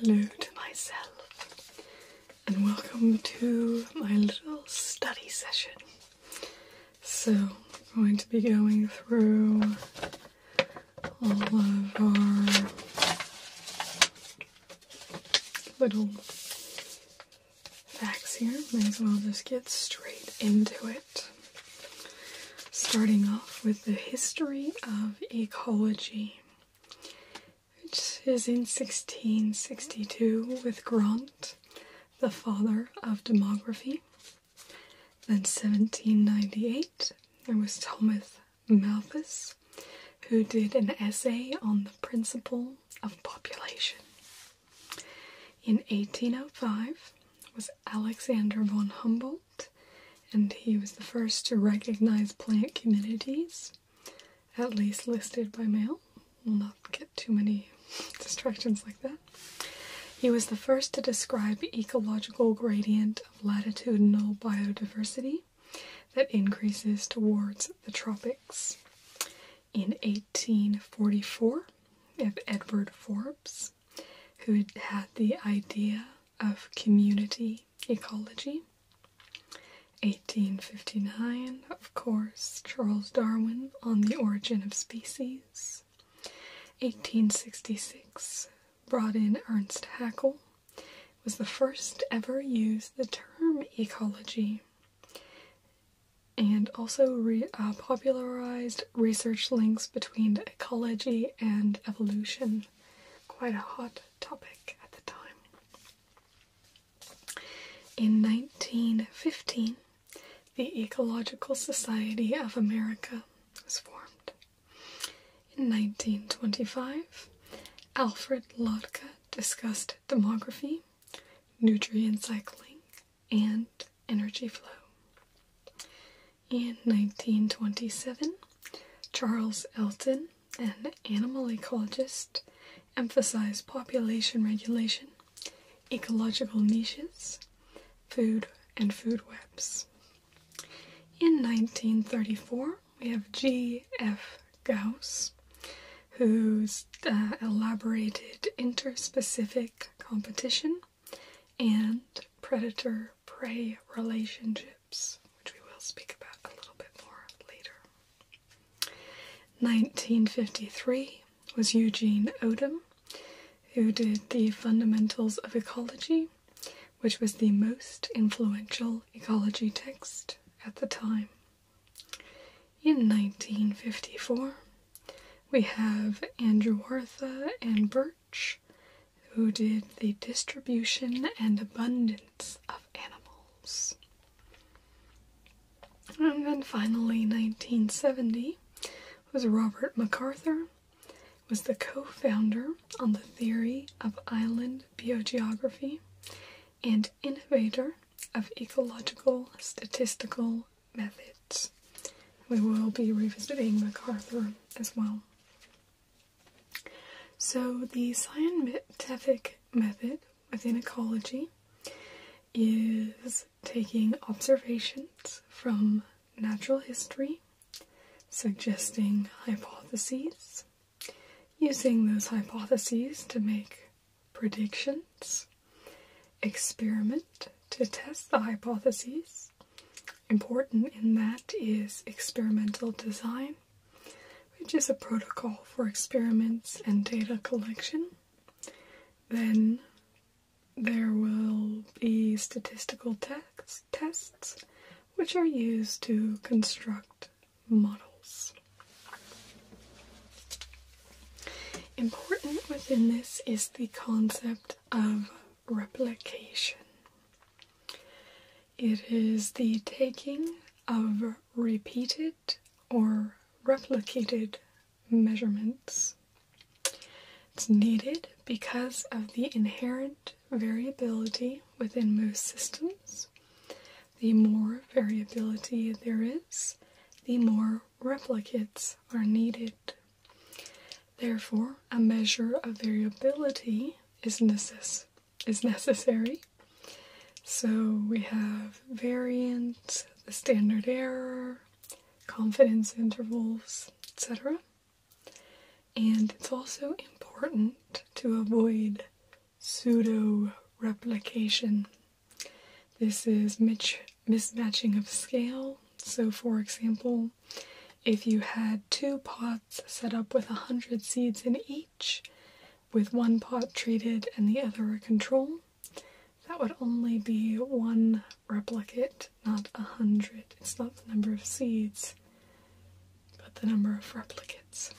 Hello to myself, and welcome to my little study session. So, I'm going to be going through all of our little facts here. Might as well just get straight into it. Starting off with the history of ecology, which is in 1662 with Grant, the father of demography. Then 1798, there was Thomas Malthus, who did an essay on the principle of population in 1805 was Alexander von Humboldt, and he was the first to recognize plant communities, at least listed by mail. We'll not get too many distractions like that. He was the first to describe ecological gradient of latitudinal biodiversity that increases towards the tropics in 1844 of Edward Forbes, who had the idea of community ecology. 1859, of course, Charles Darwin on the Origin of Species. 1866, brought in Ernst Haeckel, was the first ever use the term ecology and also uh, popularized research links between ecology and evolution. Quite a hot topic at the time. In 1915, the Ecological Society of America was formed. In 1925, Alfred Lotka discussed demography nutrient cycling, and energy flow. In 1927, Charles Elton, an animal ecologist, emphasized population regulation, ecological niches, food, and food webs. In 1934, we have G.F. Gauss, who's uh, elaborated interspecific competition and predator prey relationships, which we will speak about a little bit more later. 1953 was Eugene Odum, who did The Fundamentals of Ecology, which was the most influential ecology text at the time. In 1954, we have Andrew Wartha and Birch, who did The Distribution and Abundance of Animals. And then finally, 1970 was Robert MacArthur, was the co-founder on the theory of island biogeography and innovator of ecological statistical methods. We will be revisiting MacArthur as well. So, the scientific method within ecology is taking observations from natural history, suggesting hypotheses, using those hypotheses to make predictions, experiment to test the hypotheses. Important in that is experimental design, which is a protocol for experiments and data collection. Then there will be statistical tests, tests which are used to construct models. Important within this is the concept of replication. It is the taking of repeated or replicated measurements. It's needed because of the inherent variability within most systems. The more variability there is, the more replicates are needed. Therefore, a measure of variability is, necess is necessary. So we have variance, the standard error, confidence intervals, etc. And it's also important to avoid pseudo replication this is mismatching of scale. So, for example, if you had two pots set up with 100 seeds in each, with one pot treated and the other a control, that would only be one replicate, not 100. It's not the number of seeds, but the number of replicates.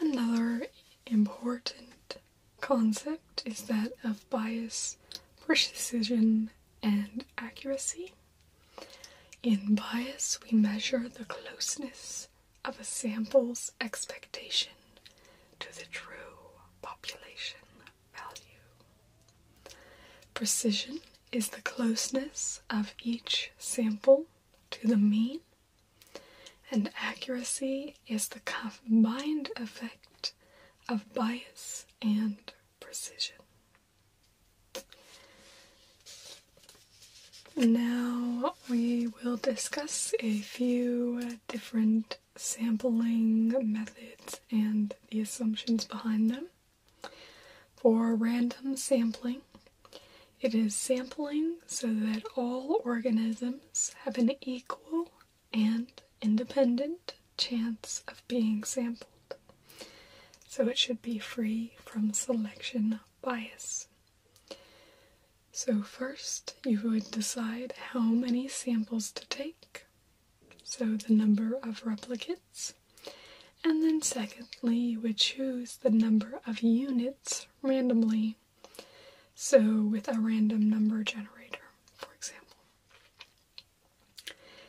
Another important concept is that of bias, precision, and accuracy. In bias, we measure the closeness of a sample's expectation to the true population value. Precision is the closeness of each sample to the mean and accuracy is the combined effect of bias and precision. Now we will discuss a few different sampling methods and the assumptions behind them. For random sampling, it is sampling so that all organisms have an equal and independent chance of being sampled. So it should be free from selection bias. So, first you would decide how many samples to take, so the number of replicates, and then secondly, you would choose the number of units randomly. So, with a random number generator, for example.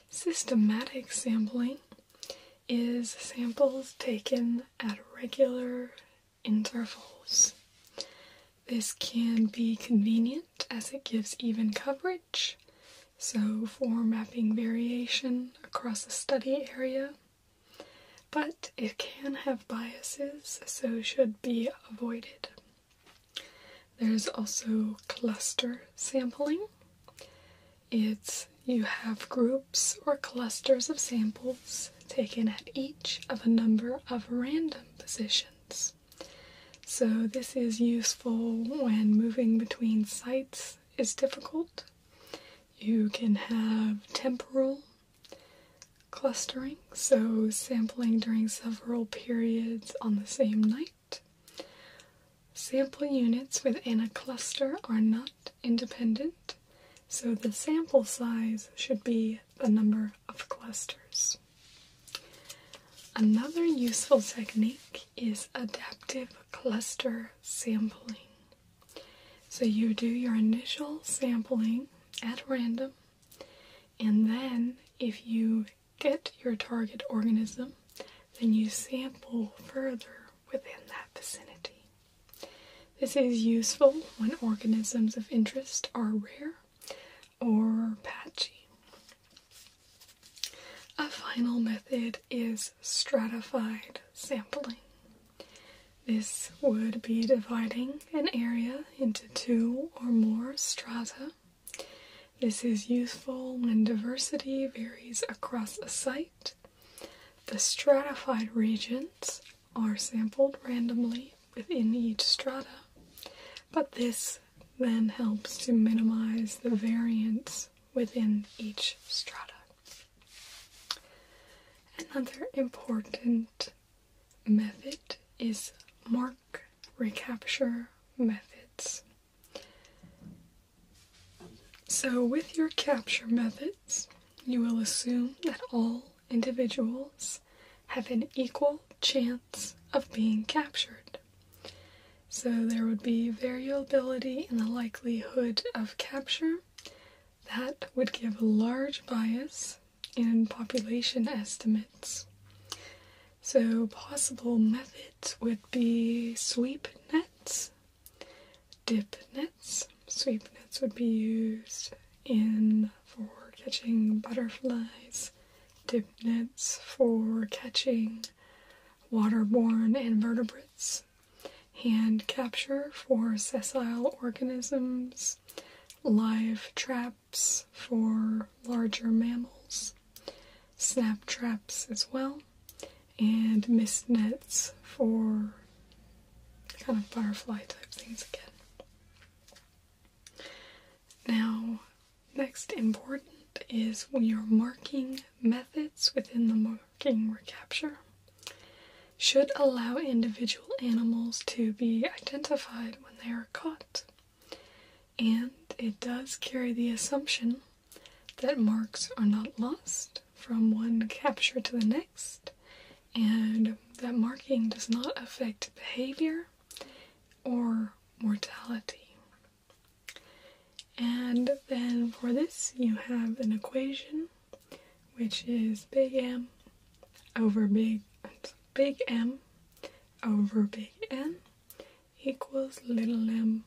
Systematic sampling is samples taken at regular intervals. This can be convenient as it gives even coverage, so for mapping variation across a study area but it can have biases, so should be avoided. There's also cluster sampling. It's you have groups or clusters of samples taken at each of a number of random positions. So, this is useful when moving between sites is difficult. You can have temporal clustering, so sampling during several periods on the same night. Sample units within a cluster are not independent, so the sample size should be the number of clusters. Another useful technique is adaptive cluster sampling. So you do your initial sampling at random and then, if you get your target organism, then you sample further within that vicinity. This is useful when organisms of interest are rare or patchy. A final method is stratified sampling. This would be dividing an area into two or more strata. This is useful when diversity varies across a site. The stratified regions are sampled randomly within each strata, but this then helps to minimize the variance within each strata. Another important method is mark recapture methods. So, with your capture methods, you will assume that all individuals have an equal chance of being captured. So, there would be variability in the likelihood of capture that would give a large bias and population estimates. So, possible methods would be sweep nets, dip nets. Sweep nets would be used in for catching butterflies, dip nets for catching waterborne invertebrates, hand capture for sessile organisms, live trap for larger mammals, snap traps as well, and mist nets for kind of butterfly type things again. Now, next important is when are marking methods within the marking recapture should allow individual animals to be identified they are caught. And it does carry the assumption that marks are not lost from one capture to the next, and that marking does not affect behavior or mortality. And then for this, you have an equation which is big M over big, big M over big N equals little m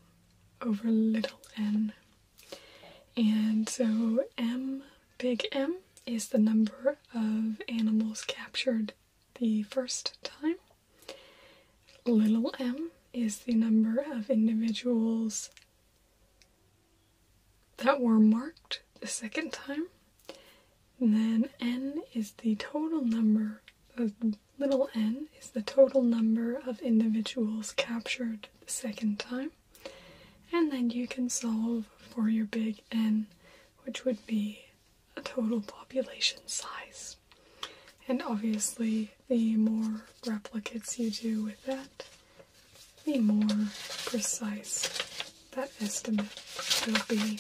over little n. And so m, big M, is the number of animals captured the first time. Little m is the number of individuals that were marked the second time then n is the total number, the little n is the total number of individuals captured the second time. And then you can solve for your big n, which would be a total population size. And obviously, the more replicates you do with that, the more precise that estimate will be.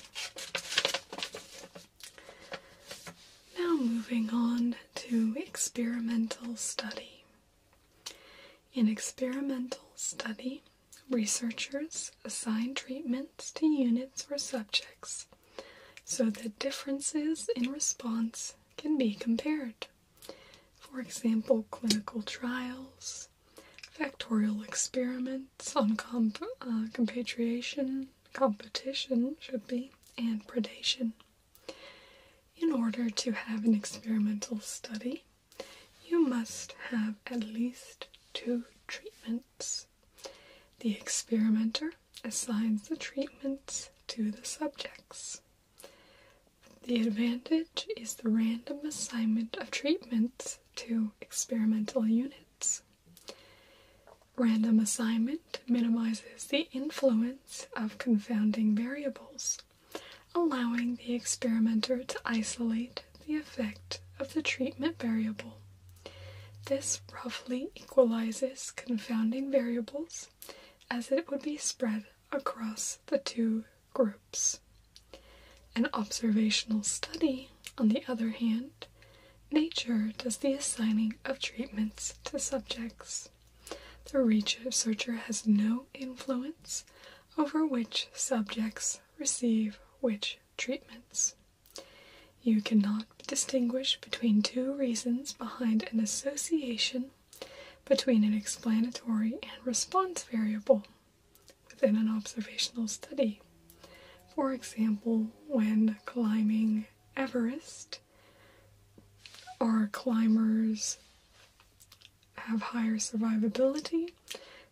Now, moving on to experimental study. In experimental study, researchers assign treatments to units or subjects so that differences in response can be compared. For example, clinical trials, factorial experiments on uh, compatriation, competition should be, and predation. In order to have an experimental study, you must have at least two treatments. The experimenter assigns the treatments to the subjects. The advantage is the random assignment of treatments to experimental units. Random assignment minimizes the influence of confounding variables, allowing the experimenter to isolate the effect of the treatment variable. This roughly equalizes confounding variables as it would be spread across the two groups. An observational study, on the other hand, nature does the assigning of treatments to subjects. The researcher has no influence over which subjects receive which treatments. You cannot distinguish between two reasons behind an association between an explanatory and response variable within an observational study. For example, when climbing Everest, our climbers have higher survivability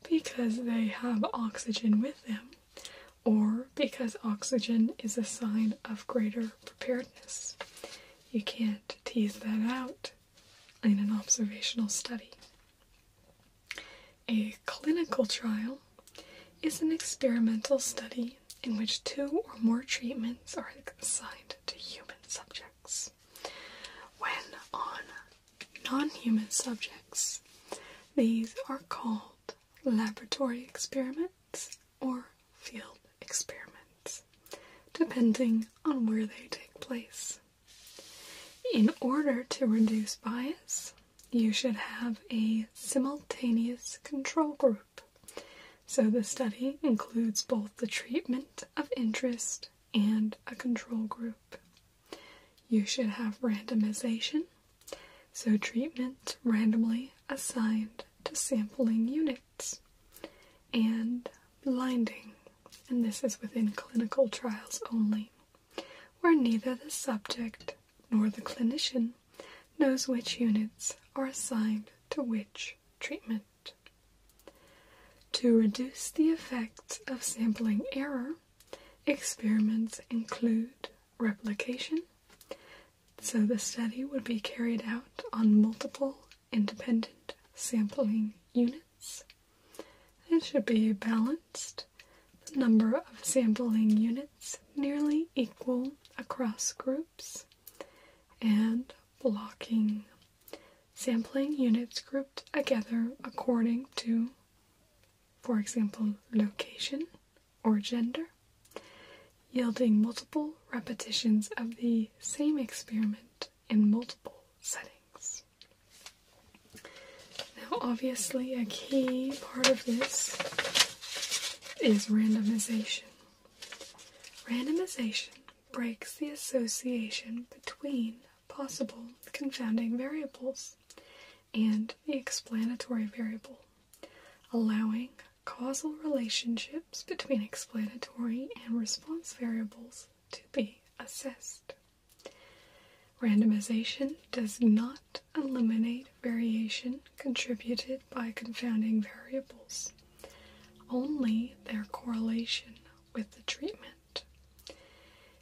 because they have oxygen with them or because oxygen is a sign of greater preparedness. You can't tease that out in an observational study. A clinical trial is an experimental study in which two or more treatments are assigned to human subjects. When on non human subjects, these are called laboratory experiments or field experiments, depending on where they take place. In order to reduce bias, you should have a simultaneous control group. So the study includes both the treatment of interest and a control group. You should have randomization, so treatment randomly assigned to sampling units, and blinding, and this is within clinical trials only where neither the subject nor the clinician knows which units are assigned to which treatment. To reduce the effects of sampling error, experiments include replication, so the study would be carried out on multiple independent sampling units. It should be balanced the number of sampling units nearly equal across groups, and blocking sampling units grouped together according to, for example, location or gender, yielding multiple repetitions of the same experiment in multiple settings. Now, obviously, a key part of this is randomization. Randomization breaks the association between possible confounding variables and the explanatory variable, allowing causal relationships between explanatory and response variables to be assessed. Randomization does not eliminate variation contributed by confounding variables, only their correlation with the treatment.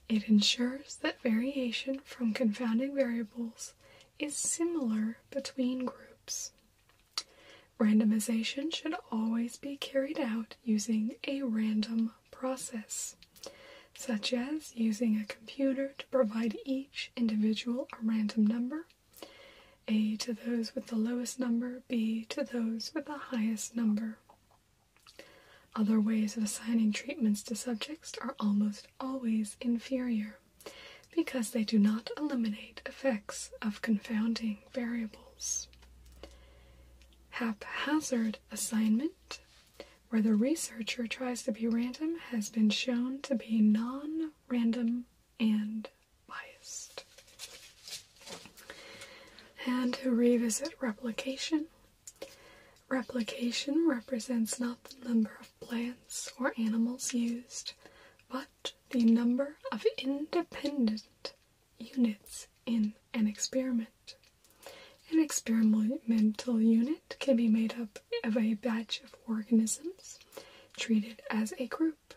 It ensures that variation from confounding variables is similar between groups. Randomization should always be carried out using a random process such as using a computer to provide each individual a random number a to those with the lowest number, b to those with the highest number. Other ways of assigning treatments to subjects are almost always inferior because they do not eliminate effects of confounding variables. Haphazard assignment where the researcher tries to be random has been shown to be non random and biased. And to revisit replication, replication represents not the number of plants or animals used, but the number of independent units in an experiment. An experimental unit can be made up of a batch of organisms treated as a group,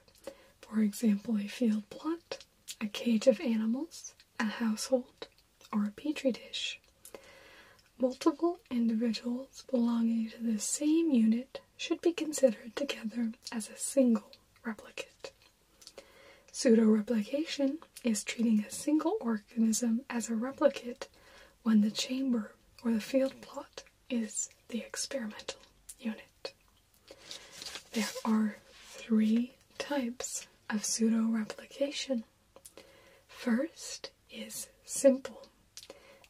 for example, a field plot, a cage of animals, a household, or a petri dish. Multiple individuals belonging to the same unit should be considered together as a single replicate. Pseudo replication is treating a single organism as a replicate when the chamber or the field plot is the experimental unit. There are three types of pseudo replication. First is simple.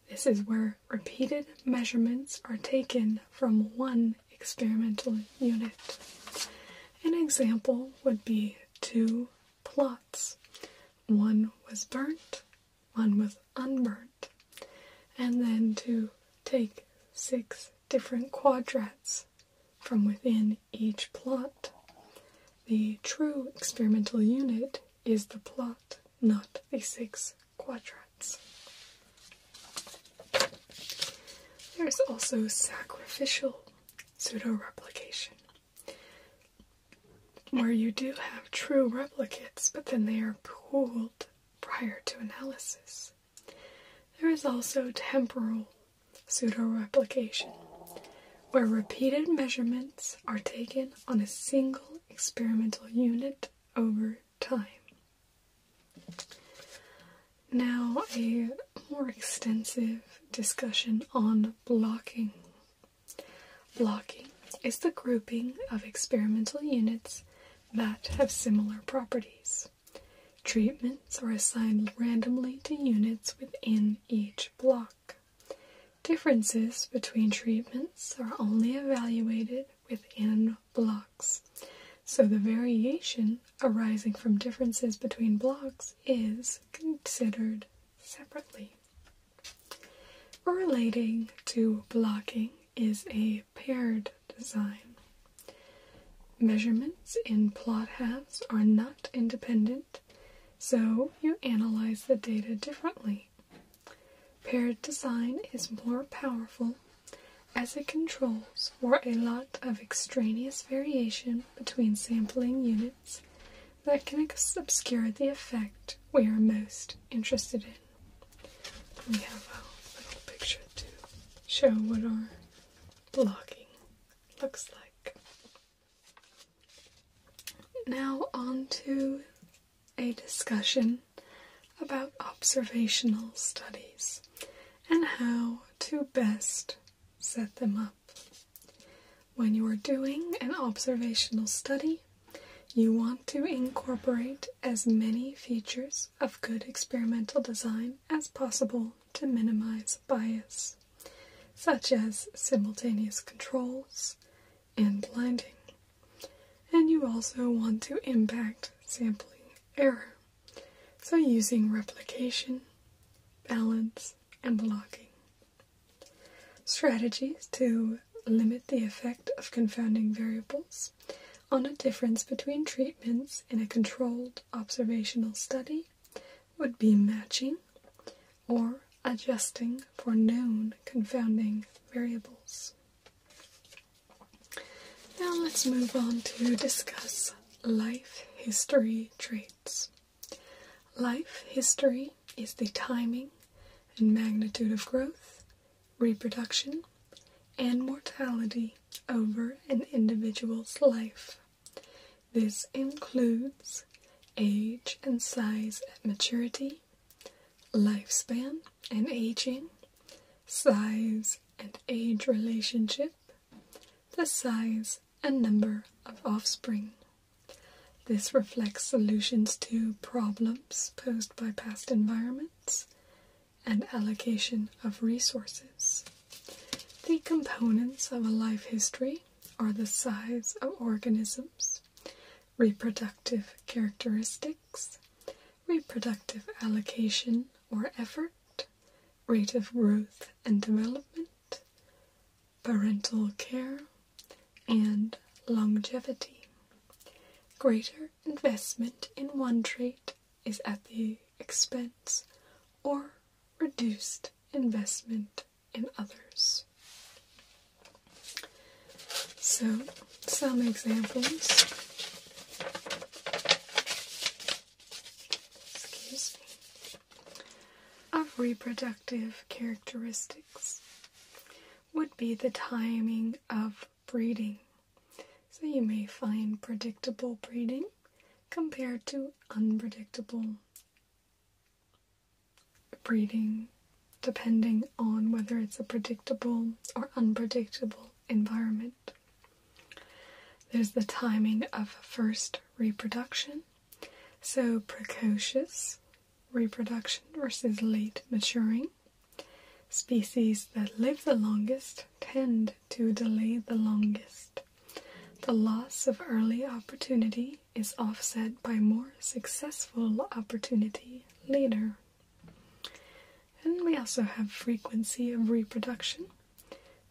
This is where repeated measurements are taken from one experimental unit. An example would be two plots one was burnt, one was unburnt, and then to take six different quadrats from within each plot. The true experimental unit is the plot, not the six quadrats. There's also sacrificial pseudo replication, where you do have true replicates, but then they are pooled prior to analysis. There is also temporal pseudo-replication, where repeated measurements are taken on a single experimental unit over time. Now, a more extensive discussion on blocking Blocking is the grouping of experimental units that have similar properties. Treatments are assigned randomly to units within each block. Differences between treatments are only evaluated within blocks, so the variation arising from differences between blocks is considered separately. Relating to blocking is a paired design. Measurements in plot halves are not independent, so you analyze the data differently. Paired design is more powerful as it controls for a lot of extraneous variation between sampling units that can obscure the effect we are most interested in. We have a little picture to show what our blocking looks like. Now, on to a discussion about observational studies and how to best set them up. When you are doing an observational study, you want to incorporate as many features of good experimental design as possible to minimize bias, such as simultaneous controls and blinding. And you also want to impact sampling error, so using replication, balance, and blocking Strategies to limit the effect of confounding variables on a difference between treatments in a controlled observational study would be matching or adjusting for known confounding variables. Now let's move on to discuss life history traits. Life history is the timing and magnitude of growth, reproduction, and mortality over an individual's life. This includes age and size at maturity, lifespan and aging, size and age relationship, the size and number of offspring. This reflects solutions to problems posed by past environments and allocation of resources. The components of a life history are the size of organisms, reproductive characteristics, reproductive allocation or effort, rate of growth and development, parental care, and longevity. Greater investment in one trait is at the expense or reduced investment in others. So, some examples. Of reproductive characteristics would be the timing of breeding. So you may find predictable breeding compared to unpredictable breeding, depending on whether it's a predictable or unpredictable environment. There's the timing of first reproduction. So, precocious reproduction versus late maturing. Species that live the longest tend to delay the longest. The loss of early opportunity is offset by more successful opportunity later. And we also have frequency of reproduction,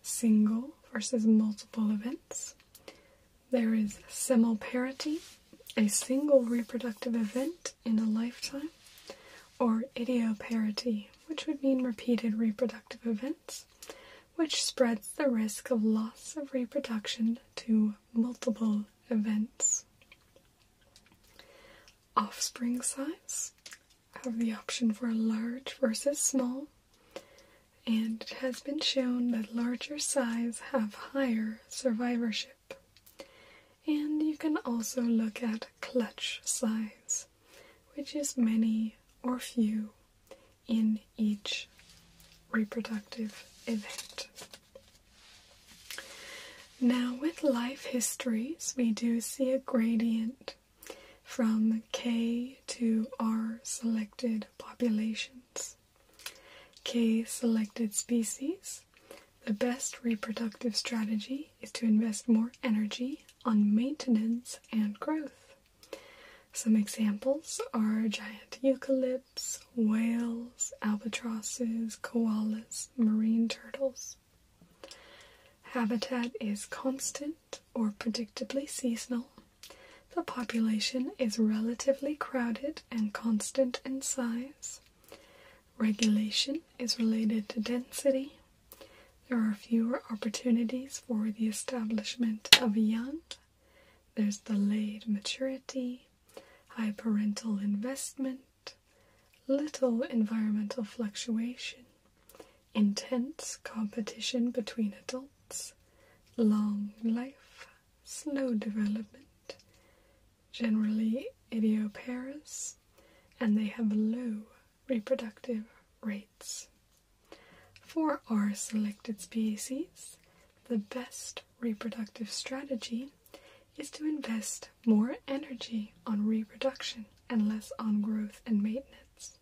single versus multiple events, there is semelparity, a single reproductive event in a lifetime, or idioparity, which would mean repeated reproductive events, which spreads the risk of loss of reproduction to multiple events. Offspring size have the option for large versus small, and it has been shown that larger size have higher survivorship. And you can also look at clutch size, which is many or few in each reproductive event. Now, with life histories, we do see a gradient from K to R selected populations. K. Selected species. The best reproductive strategy is to invest more energy on maintenance and growth. Some examples are giant eucalypts, whales, albatrosses, koalas, marine turtles. Habitat is constant or predictably seasonal. The population is relatively crowded and constant in size. Regulation is related to density. There are fewer opportunities for the establishment of young. There's delayed maturity, high parental investment, little environmental fluctuation, intense competition between adults, long life, slow development, generally idioparous, and they have low reproductive rates. For our selected species, the best reproductive strategy is to invest more energy on reproduction and less on growth and maintenance.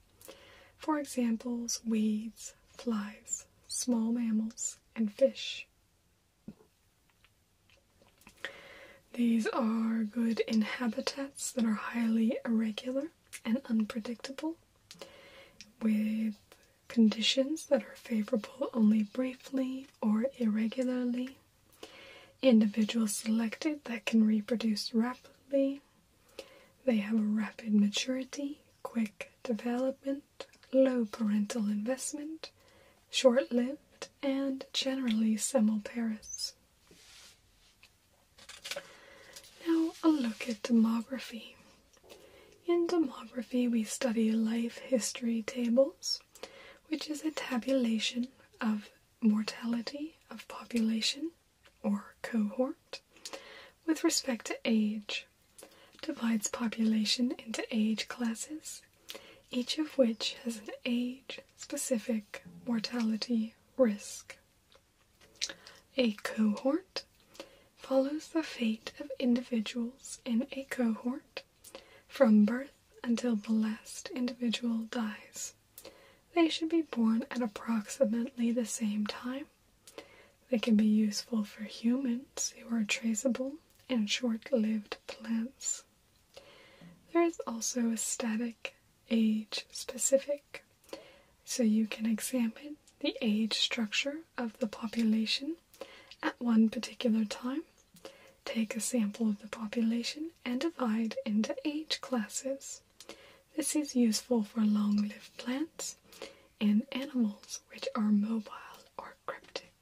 For examples, weeds, flies, small mammals, and fish. These are good in habitats that are highly irregular and unpredictable, with conditions that are favorable only briefly or irregularly, individuals selected that can reproduce rapidly. They have a rapid maturity, quick development, low parental investment, short lived, and generally semilparous. Now, a look at demography. In demography, we study life history tables, which is a tabulation of mortality of population or cohort with respect to age, divides population into age classes, each of which has an age specific mortality risk. A cohort follows the fate of individuals in a cohort from birth until the last individual dies. They should be born at approximately the same time. They can be useful for humans who are traceable and short lived plants. There is also a static age specific, so you can examine the age structure of the population at one particular time. Take a sample of the population and divide into age classes. This is useful for long lived plants and animals which are mobile or cryptic.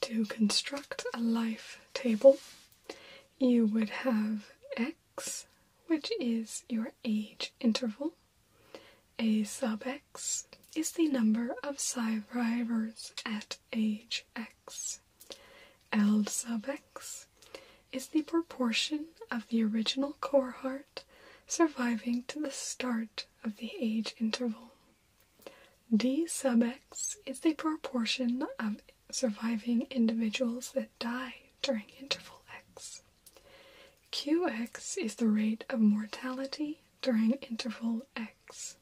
To construct a life table, you would have x, which is your age interval. A sub x is the number of survivors at age x. L sub x is the proportion of the original cohort surviving to the start of the age interval. D sub x is the proportion of surviving individuals that die during interval x. Qx is the rate of mortality during interval x.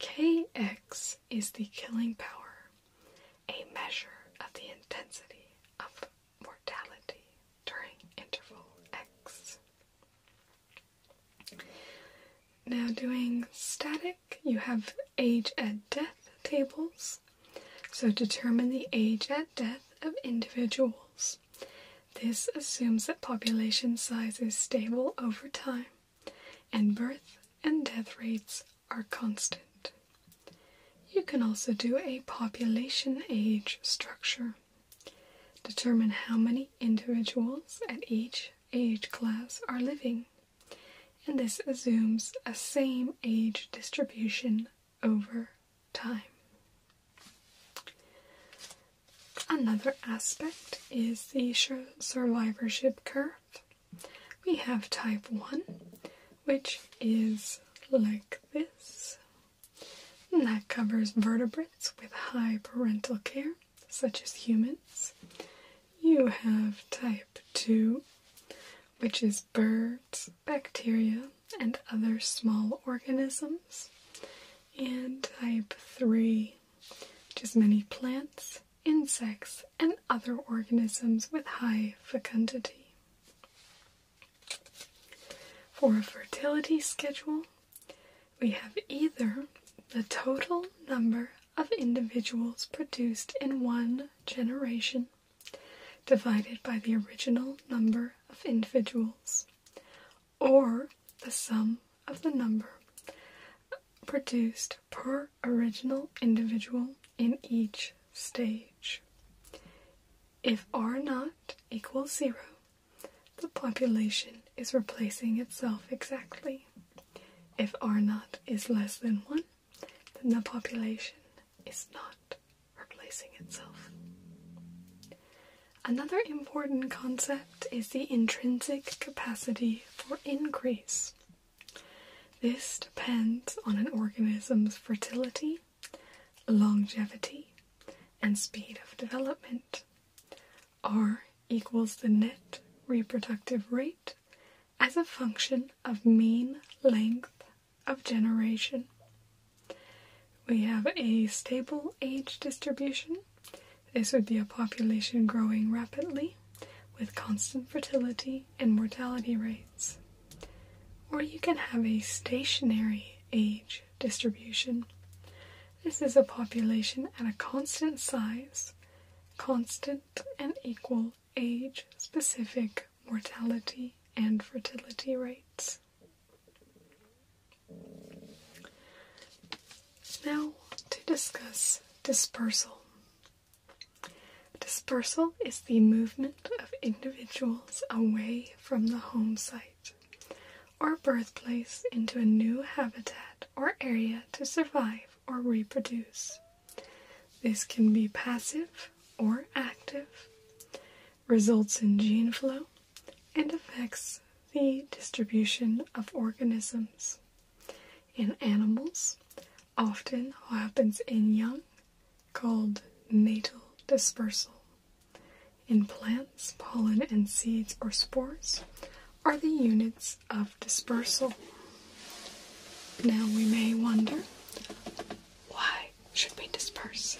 Kx is the killing power, a measure of the intensity of mortality during interval x. Now, doing static, you have age at death tables. So, determine the age at death of individuals. This assumes that population size is stable over time and birth and death rates are constant. You can also do a population age structure. Determine how many individuals at each age class are living, and this assumes a same age distribution over time. Another aspect is the survivorship curve. We have type 1, which is like this, and that covers vertebrates with high parental care, such as humans. You have type 2, which is birds, bacteria, and other small organisms, and type 3, which is many plants, insects, and other organisms with high fecundity. For a fertility schedule, we have either the total number of individuals produced in one generation divided by the original number of individuals, or the sum of the number produced per original individual in each stage. If R naught equals zero, the population is replacing itself exactly. If R naught is less than 1, then the population is not replacing itself. Another important concept is the intrinsic capacity for increase. This depends on an organism's fertility, longevity, and speed of development. R equals the net reproductive rate as a function of mean length of generation. We have a stable age distribution. This would be a population growing rapidly with constant fertility and mortality rates. Or you can have a stationary age distribution. This is a population at a constant size, constant and equal age specific mortality and fertility rates. Now to discuss dispersal. Dispersal is the movement of individuals away from the home site or birthplace into a new habitat or area to survive or reproduce. This can be passive or active, results in gene flow, and affects the distribution of organisms. In animals, often happens in young, called natal dispersal. In plants, pollen and seeds or spores are the units of dispersal. Now we may wonder why should we disperse?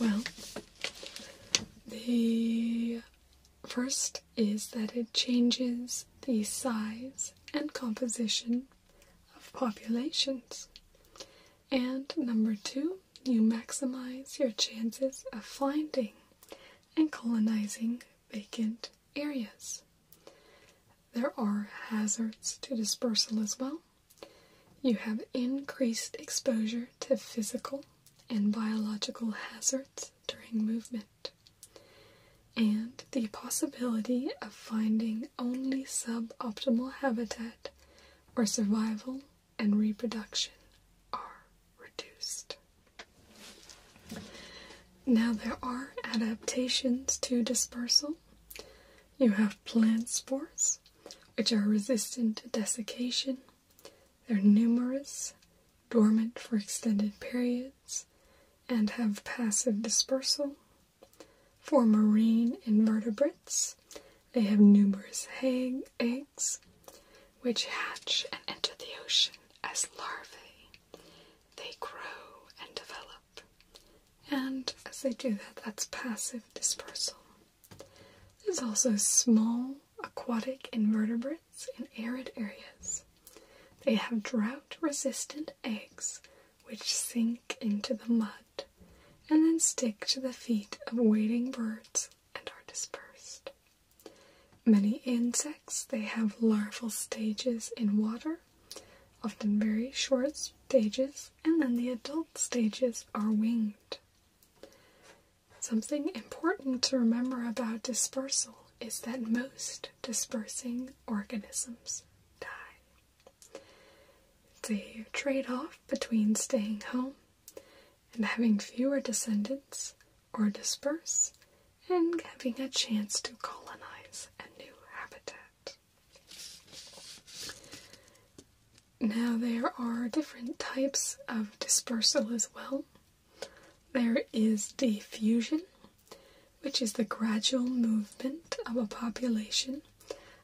Well, the first is that it changes the size and composition of populations. And number two, you maximize your chances of finding and colonizing vacant areas. There are hazards to dispersal as well. You have increased exposure to physical and biological hazards during movement, and the possibility of finding only suboptimal habitat or survival and reproduction are reduced. Now, there are adaptations to dispersal. You have plant spores, which are resistant to desiccation. They're numerous, dormant for extended periods, and have passive dispersal. For marine invertebrates, they have numerous eggs which hatch and enter the ocean as larvae. They grow and develop, and as they do that, that's passive dispersal. There's also small aquatic invertebrates in arid areas. They have drought resistant eggs which sink into the mud and then stick to the feet of wading birds and are dispersed. Many insects they have larval stages in water, often very short stages, and then the adult stages are winged. Something important to remember about dispersal is that most dispersing organisms die. It's a trade off between staying home and having fewer descendants or disperse, and having a chance to colonize a new habitat. Now, there are different types of dispersal as well. There is diffusion, which is the gradual movement of a population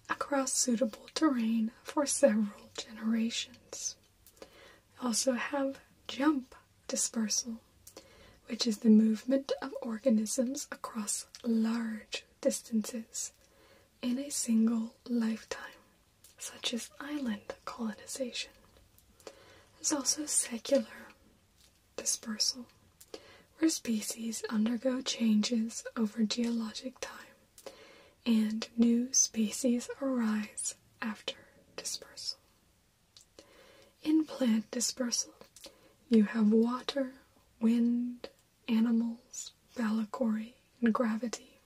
across suitable terrain for several generations also have jump dispersal, which is the movement of organisms across large distances in a single lifetime, such as island colonization. There's also secular dispersal, where species undergo changes over geologic time and new species arise after dispersal. In plant dispersal, you have water, wind, animals, Ballicory and gravity.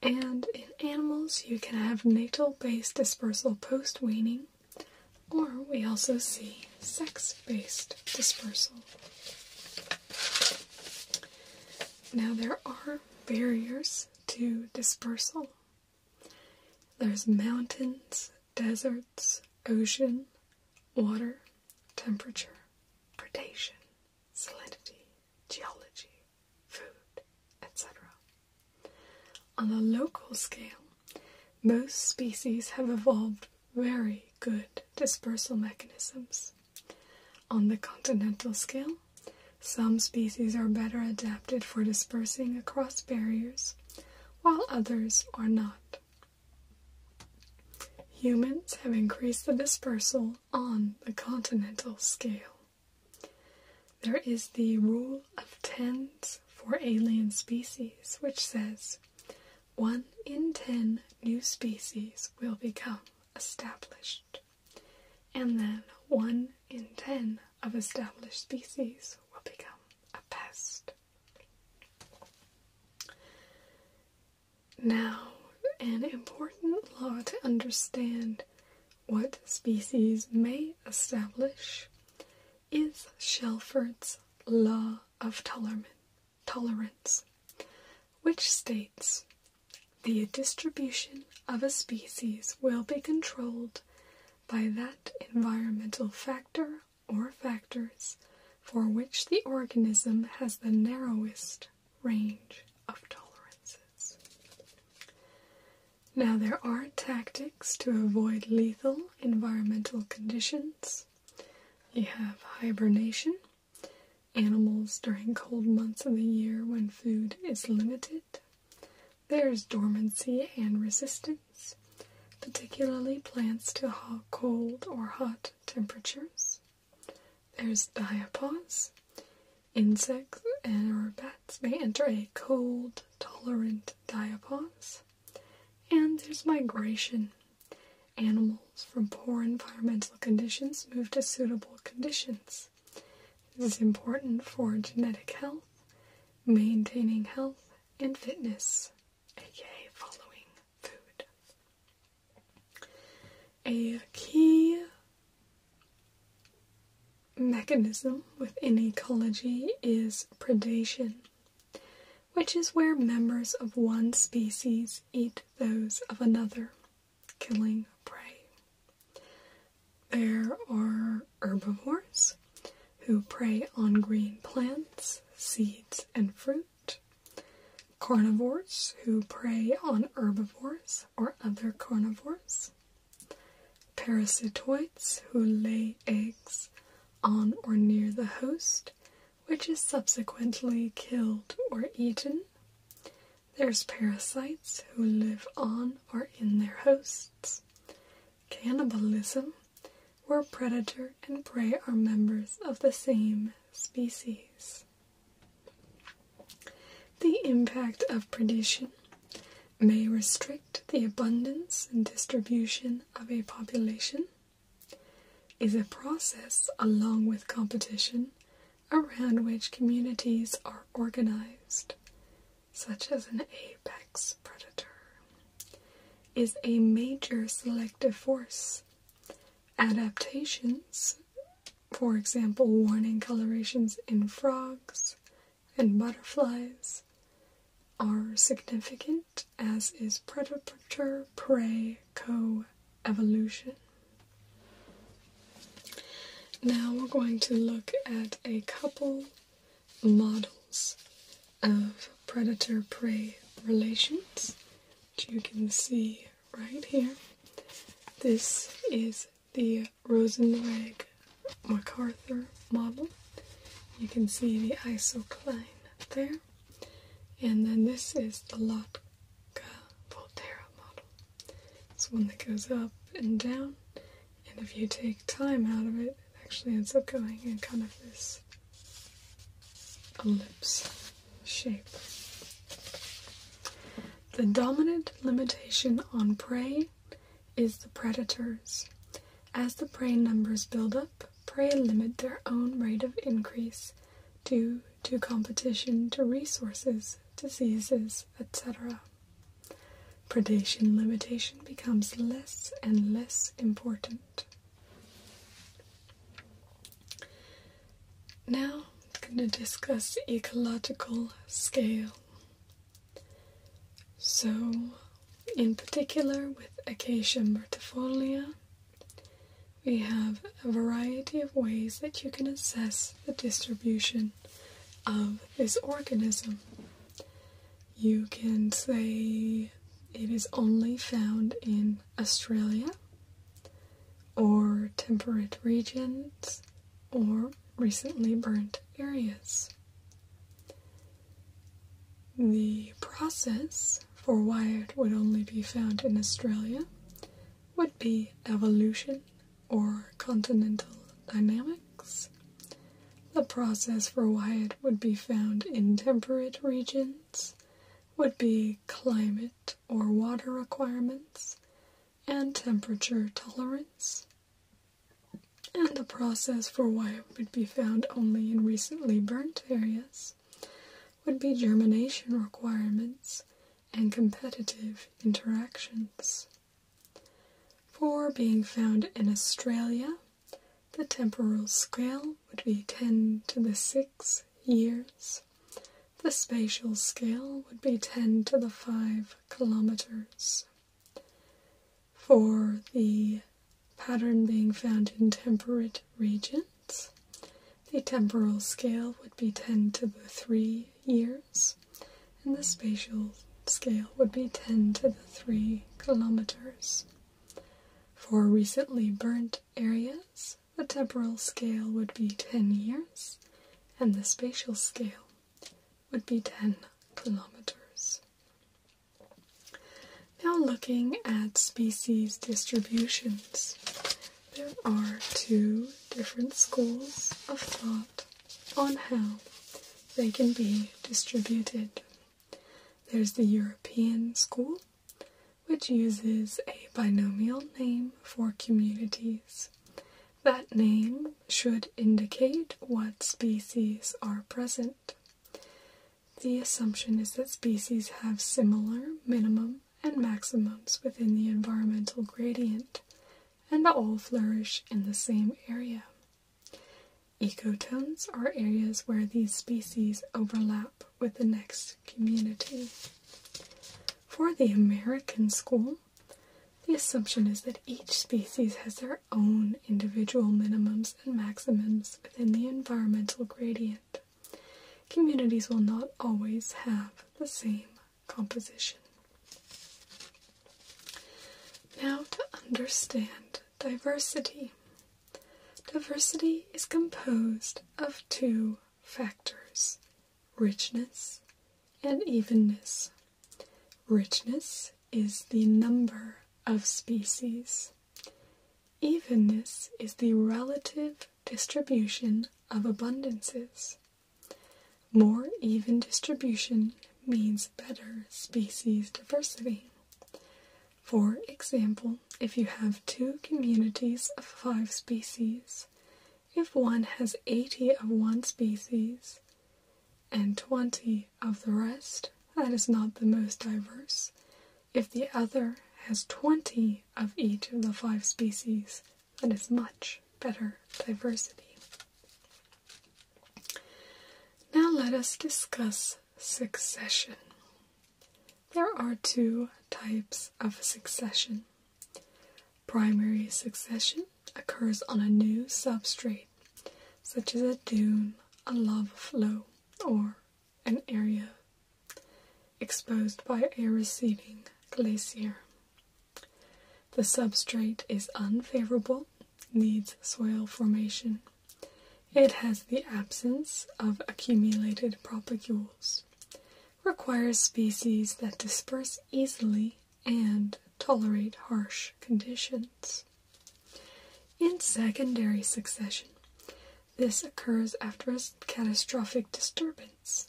And in animals, you can have natal based dispersal post weaning, or we also see sex based dispersal. Now, there are barriers to dispersal. There's mountains, deserts, ocean, water, temperature, predation, salinity, geology, food, etc. On a local scale, most species have evolved very good dispersal mechanisms. On the continental scale, some species are better adapted for dispersing across barriers, while others are not. Humans have increased the dispersal on the continental scale. There is the rule of tens for alien species, which says one in ten new species will become established and then one in ten of established species will become a pest. Now, an important law to understand what species may establish is Shelford's Law of Tolerance, which states the distribution of a species will be controlled by that environmental factor or factors for which the organism has the narrowest range of tolerances. Now, there are tactics to avoid lethal environmental conditions. You have hibernation, animals during cold months of the year when food is limited. There's dormancy and resistance, particularly plants to hot, cold or hot temperatures. There's diapause. Insects and or bats may enter a cold tolerant diapause. And there's migration. Animals from poor environmental conditions move to suitable conditions. This is important for genetic health, maintaining health and fitness, aka following food. A key mechanism within ecology is predation, which is where members of one species eat those of another killing prey. There are herbivores who prey on green plants, seeds, and fruit. Carnivores who prey on herbivores or other carnivores. Parasitoids who lay eggs on or near the host, which is subsequently killed or eaten. There's parasites who live on or in their hosts. Cannibalism, where predator and prey are members of the same species. The impact of predation may restrict the abundance and distribution of a population, is a process along with competition around which communities are organized, such as an apex predator, is a major selective force. Adaptations, for example, warning colorations in frogs and butterflies, are significant, as is predator prey coevolution. Now we're going to look at a couple models of predator prey relations, which you can see right here. This is the Rosenreg MacArthur model. You can see the isocline there. And then this is the Lotka Volterra model. It's one that goes up and down, and if you take time out of it, it actually ends up going in kind of this ellipse shape. The dominant limitation on prey is the predators. As the prey numbers build up, prey limit their own rate of increase due to competition to resources, diseases, etc. Predation limitation becomes less and less important. Now I'm going to discuss ecological scale. So, in particular with Acacia myrtifolia, we have a variety of ways that you can assess the distribution of this organism. You can say it is only found in Australia or temperate regions or recently burnt areas. The process for why it would only be found in Australia would be evolution or continental dynamics, the process for why it would be found in temperate regions would be climate or water requirements and temperature tolerance, and the process for why it would be found only in recently burnt areas would be germination requirements and competitive interactions. For being found in Australia, the temporal scale would be 10 to the 6 years. The spatial scale would be 10 to the 5 kilometers. For the pattern being found in temperate regions, the temporal scale would be 10 to the 3 years and the spatial scale would be 10 to the 3 kilometers. For recently burnt areas, the temporal scale would be 10 years, and the spatial scale would be 10 kilometers. Now, looking at species distributions, there are two different schools of thought on how they can be distributed. There's the European school, which uses a binomial name for communities. That name should indicate what species are present. The assumption is that species have similar minimum and maximums within the environmental gradient, and all flourish in the same area. Ecotones are areas where these species overlap with the next community. For the American school, the assumption is that each species has their own individual minimums and maximums within the environmental gradient. Communities will not always have the same composition. Now, to understand diversity, diversity is composed of two factors richness and evenness. Richness is the number of species. Evenness is the relative distribution of abundances. More even distribution means better species diversity. For example, if you have two communities of five species, if one has 80 of one species and 20 of the rest, that is not the most diverse. If the other has 20 of each of the five species, that is much better diversity. Now let us discuss succession. There are two types of succession. Primary succession occurs on a new substrate, such as a dune, a lava flow, or an area exposed by a receding glacier. The substrate is unfavorable, needs soil formation. It has the absence of accumulated propagules, requires species that disperse easily and tolerate harsh conditions. In secondary succession, this occurs after a catastrophic disturbance,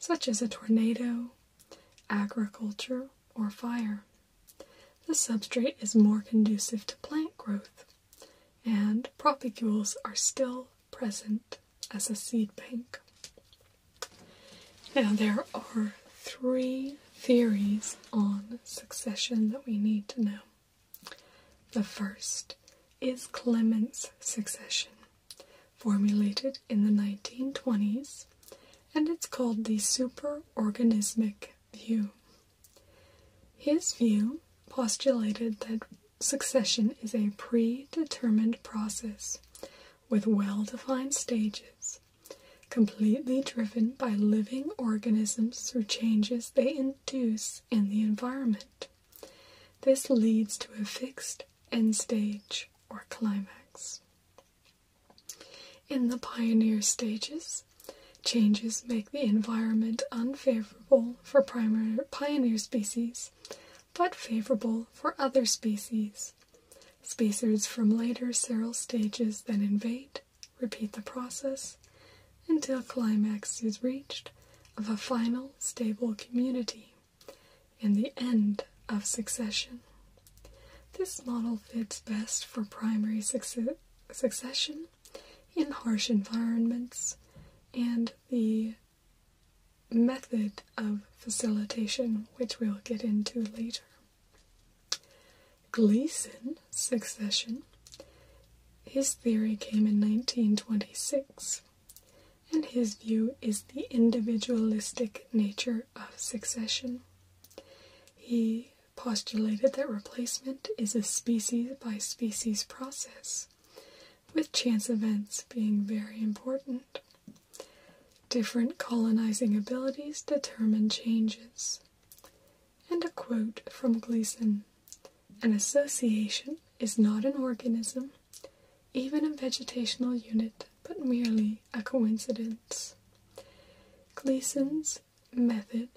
such as a tornado, agriculture, or fire. The substrate is more conducive to plant growth, and propagules are still present as a seed bank. Now, there are three theories on succession that we need to know. The first is Clement's succession, formulated in the 1920s, and it's called the super organismic view. His view postulated that succession is a predetermined process with well defined stages, completely driven by living organisms through changes they induce in the environment. This leads to a fixed end stage or climax. In the pioneer stages, changes make the environment unfavorable for pioneer species, but favorable for other species. Spacers from later serial stages then invade, repeat the process, until climax is reached of a final stable community in the end of succession. This model fits best for primary succession in harsh environments and the method of facilitation, which we'll get into later. Gleason succession. His theory came in 1926, and his view is the individualistic nature of succession. He postulated that replacement is a species by species process, with chance events being very important. Different colonizing abilities determine changes. And a quote from Gleason An association is not an organism, even a vegetational unit, but merely a coincidence. Gleason's method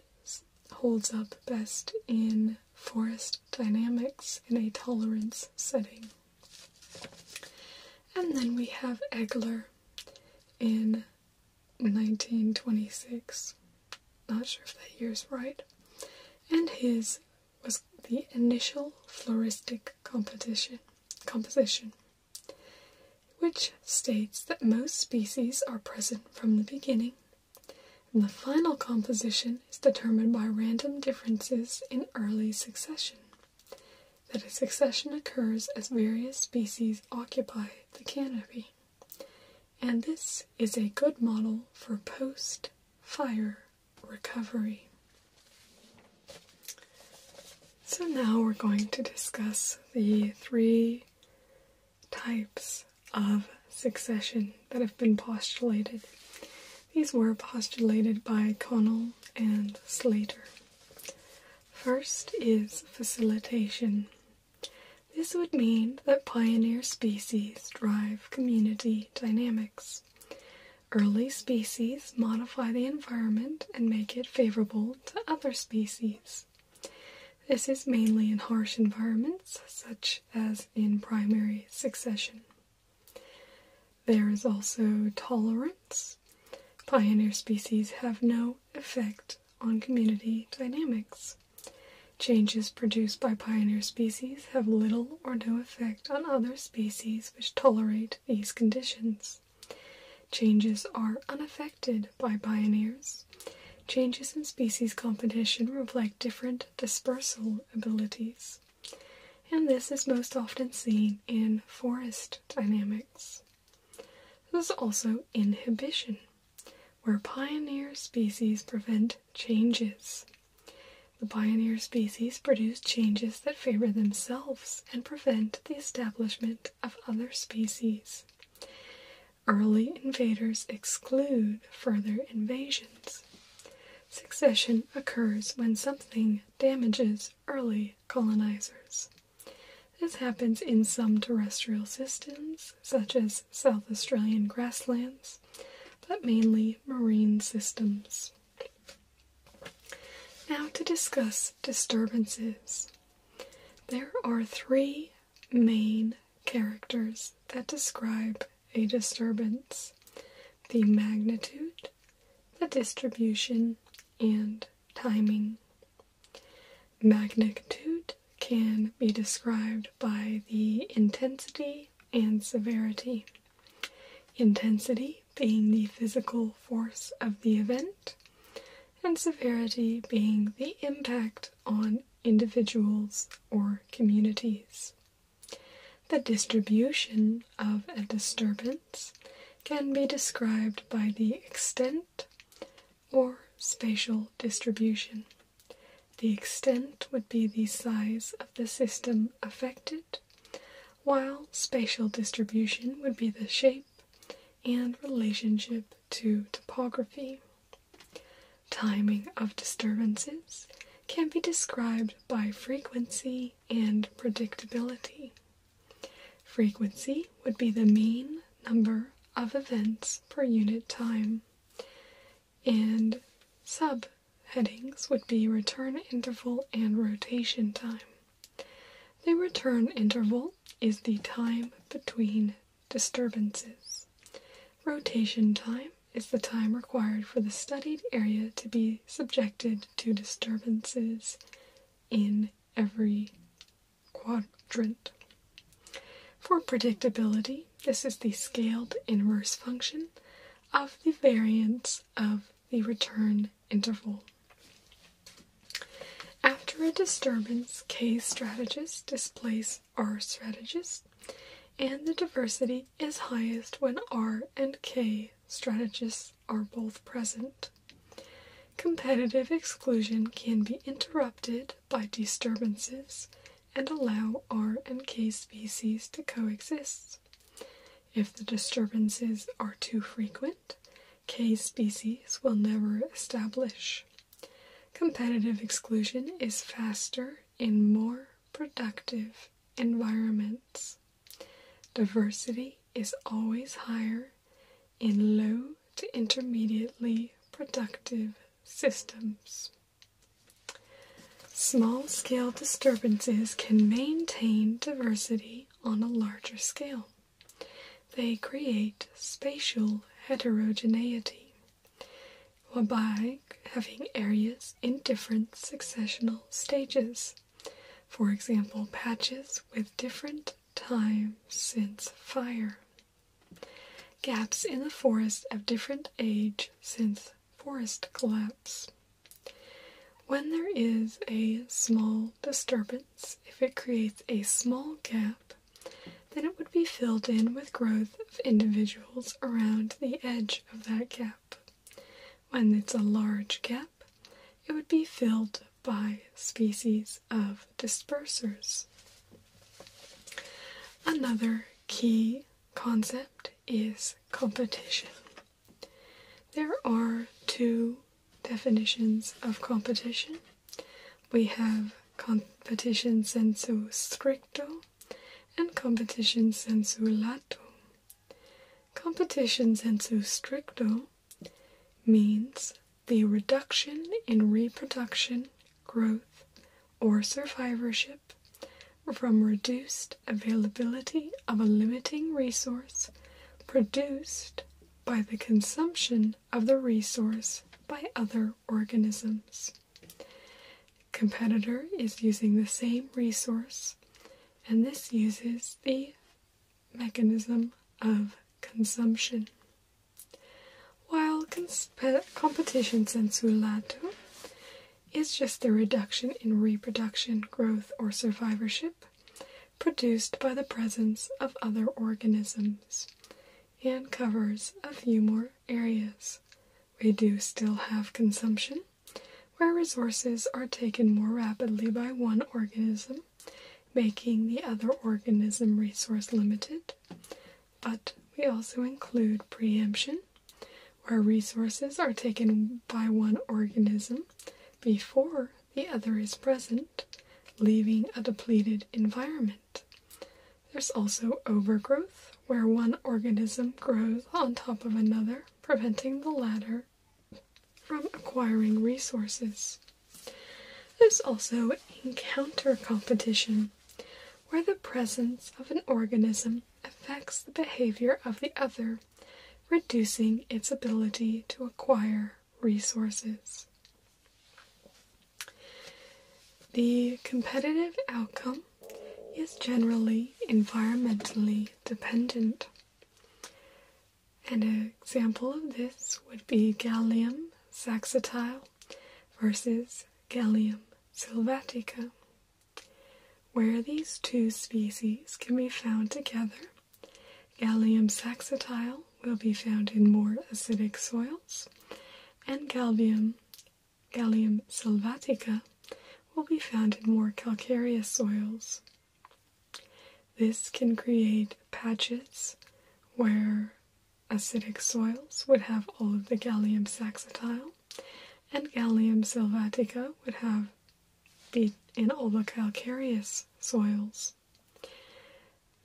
holds up best in forest dynamics in a tolerance setting. And then we have Egler in 1926. Not sure if that year is right. And his was the initial floristic composition which states that most species are present from the beginning, and the final composition is determined by random differences in early succession. That a succession occurs as various species occupy the canopy. And this is a good model for post fire recovery. So now we're going to discuss the three types of succession that have been postulated. These were postulated by Connell and Slater. First is facilitation. This would mean that pioneer species drive community dynamics. Early species modify the environment and make it favorable to other species. This is mainly in harsh environments, such as in primary succession. There is also tolerance. Pioneer species have no effect on community dynamics. Changes produced by pioneer species have little or no effect on other species which tolerate these conditions. Changes are unaffected by pioneers. Changes in species competition reflect different dispersal abilities, and this is most often seen in forest dynamics. There's also inhibition, where pioneer species prevent changes. The pioneer species produce changes that favor themselves and prevent the establishment of other species. Early invaders exclude further invasions. Succession occurs when something damages early colonizers. This happens in some terrestrial systems, such as South Australian grasslands, but mainly marine systems. Now to discuss disturbances. There are three main characters that describe a disturbance the magnitude, the distribution, and timing. Magnitude can be described by the intensity and severity. Intensity being the physical force of the event, and severity being the impact on individuals or communities. The distribution of a disturbance can be described by the extent or spatial distribution. The extent would be the size of the system affected, while spatial distribution would be the shape and relationship to topography. Timing of disturbances can be described by frequency and predictability. Frequency would be the mean number of events per unit time, and subheadings would be return interval and rotation time. The return interval is the time between disturbances. Rotation time is the time required for the studied area to be subjected to disturbances in every quadrant. For predictability, this is the scaled inverse function of the variance of the return interval. After a disturbance, K strategists displays R strategists, and the diversity is highest when R and K strategists are both present. Competitive exclusion can be interrupted by disturbances and allow R and K species to coexist. If the disturbances are too frequent, K species will never establish. Competitive exclusion is faster in more productive environments. Diversity is always higher in low to intermediately productive systems. Small scale disturbances can maintain diversity on a larger scale. They create spatial heterogeneity, whereby having areas in different successional stages, for example, patches with different time since fire, gaps in the forest of different age since forest collapse. When there is a small disturbance, if it creates a small gap, then it would be filled in with growth of individuals around the edge of that gap. When it's a large gap, it would be filled by species of dispersers. Another key concept is competition. There are two definitions of competition we have competition sensu stricto and competition sensu lato. Competition sensu stricto means the reduction in reproduction, growth, or survivorship from reduced availability of a limiting resource produced by the consumption of the resource by other organisms. Competitor is using the same resource, and this uses the mechanism of consumption. While competition lato is just the reduction in reproduction, growth, or survivorship produced by the presence of other organisms and covers a few more areas. We do still have consumption, where resources are taken more rapidly by one organism, making the other organism resource limited. But we also include preemption, where resources are taken by one organism before the other is present, leaving a depleted environment. There's also overgrowth, where one organism grows on top of another, preventing the latter from acquiring resources. There's also encounter competition, where the presence of an organism affects the behavior of the other, reducing its ability to acquire resources. The competitive outcome is generally environmentally dependent. And an example of this would be Gallium saxatile versus Gallium sylvatica, where these two species can be found together. Gallium saxatile will be found in more acidic soils, and gallium, gallium sylvatica will be found in more calcareous soils. This can create patches where acidic soils would have all of the gallium saxatile, and gallium sylvatica would have be in all the calcareous soils.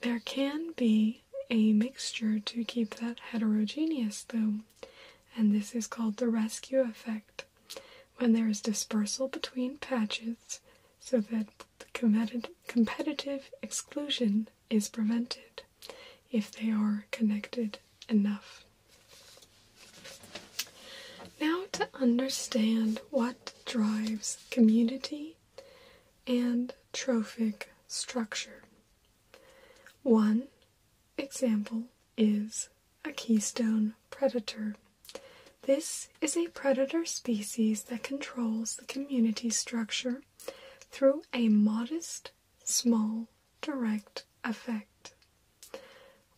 There can be a mixture to keep that heterogeneous, though, and this is called the rescue effect when there is dispersal between patches so that the competitive exclusion is prevented if they are connected enough. Now, to understand what drives community and trophic structure. One example is a keystone predator. This is a predator species that controls the community structure through a modest, small, direct effect.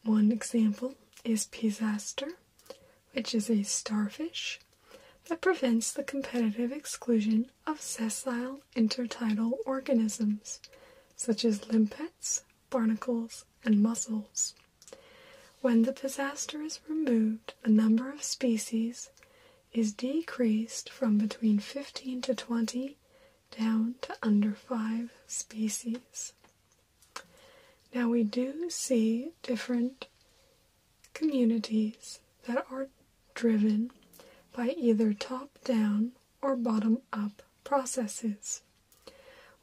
One example is Pisaster, which is a starfish that prevents the competitive exclusion of sessile intertidal organisms, such as limpets, barnacles, and mussels. When the disaster is removed, the number of species is decreased from between 15 to 20 down to under 5 species. Now we do see different communities that are driven by either top down or bottom up processes.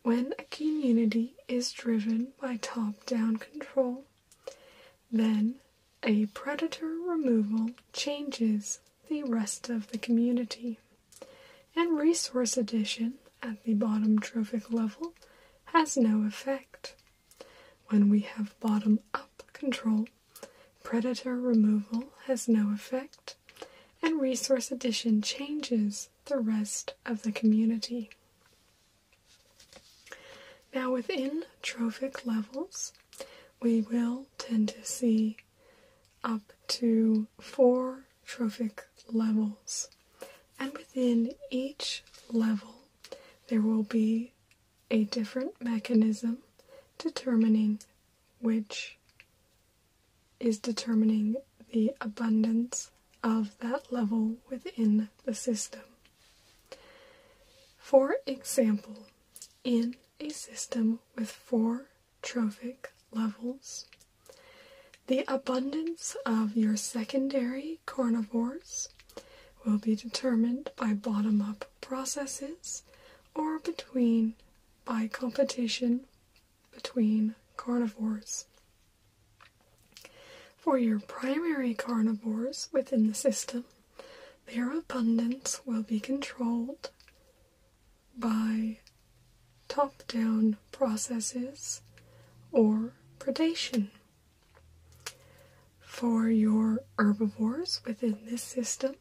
When a community is driven by top down control, then a predator removal changes the rest of the community. And resource addition at the bottom trophic level has no effect. When we have bottom up control, predator removal has no effect, and resource addition changes the rest of the community. Now, within trophic levels, we will tend to see up to four trophic levels, and within each level, there will be a different mechanism determining which is determining the abundance of that level within the system. For example, in a system with four trophic levels, the abundance of your secondary carnivores will be determined by bottom up processes or between by competition between carnivores. For your primary carnivores within the system, their abundance will be controlled by top down processes or predation for your herbivores within this system,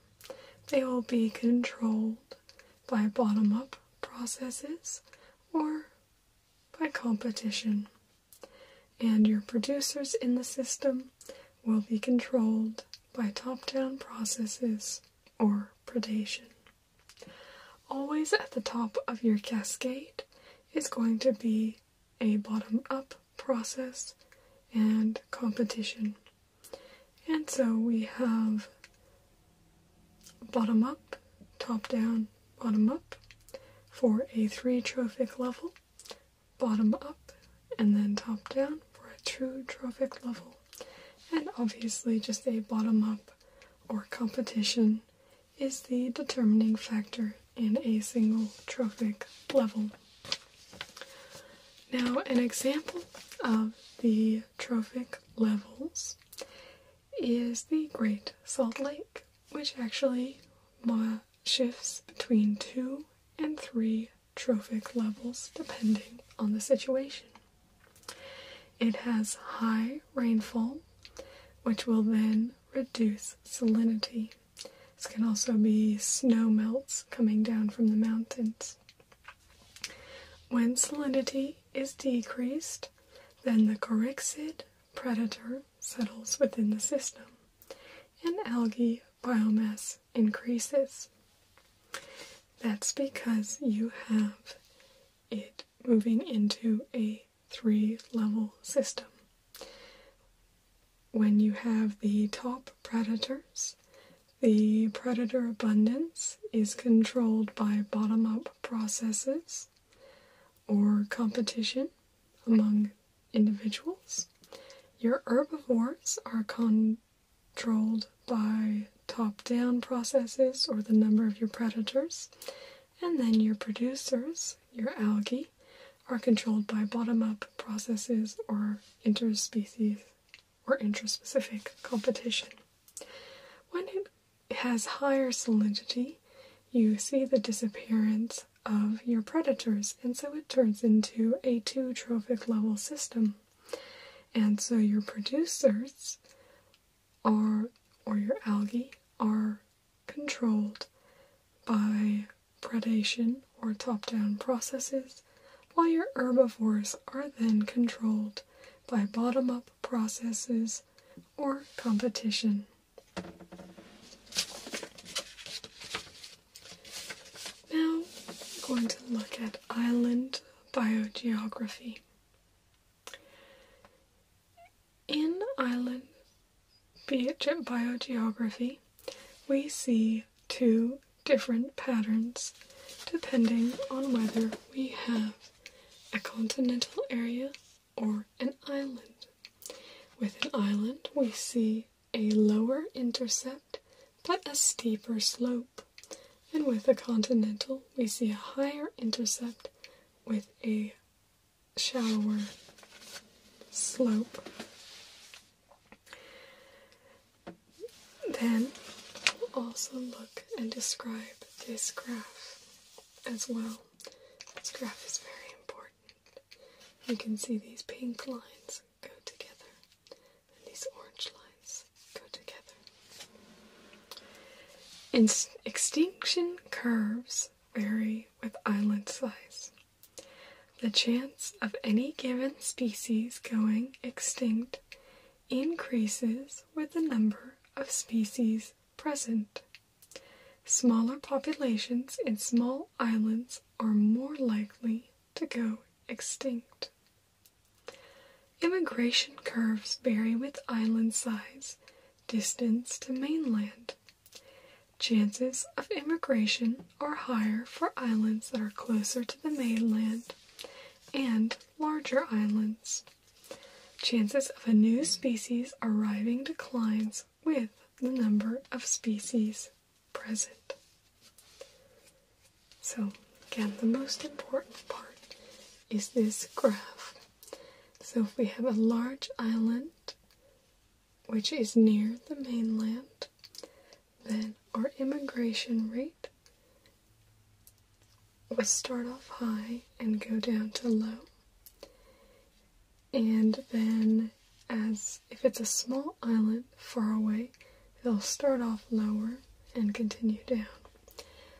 they will be controlled by bottom up processes or by competition. And your producers in the system will be controlled by top down processes or predation. Always at the top of your cascade is going to be a bottom up process and competition. And so we have bottom up, top down, bottom up for a three trophic level, bottom up, and then top down for a true trophic level, and obviously just a bottom up or competition is the determining factor in a single trophic level. Now, an example of the trophic levels is the Great Salt Lake, which actually shifts between two and three trophic levels depending on the situation. It has high rainfall, which will then reduce salinity. This can also be snow melts coming down from the mountains. When salinity is decreased, then the Coryxid predator settles within the system and algae biomass increases. That's because you have it moving into a three level system when you have the top predators, the predator abundance is controlled by bottom up processes or competition among individuals. Your herbivores are controlled by top down processes or the number of your predators. And then your producers, your algae, are controlled by bottom up processes or interspecies or intraspecific competition. When it has higher salinity, you see the disappearance of your predators, and so it turns into a two trophic level system. And so your producers are or your algae are controlled by predation, or top down processes, while your herbivores are then controlled by bottom up processes or competition. Now, we're going to look at island biogeography. In island biogeography, we see two different patterns depending on whether we have a continental area or an island. With an island, we see a lower intercept but a steeper slope, and with a continental, we see a higher intercept with a shallower slope. Then we'll also look and describe this graph as well. This graph is very important. You can see these pink lines go together and these orange lines go together. In extinction curves vary with island size. The chance of any given species going extinct increases with the number of species present. Smaller populations in small islands are more likely to go extinct. Immigration curves vary with island size, distance to mainland. Chances of immigration or higher for islands that are closer to the mainland and larger islands. Chances of a new species arriving declines with the number of species present. So, again, the most important part is this graph. So, if we have a large island which is near the mainland, then our immigration rate will start off high and go down to low. And then, as if it's a small island far away, they'll start off lower and continue down.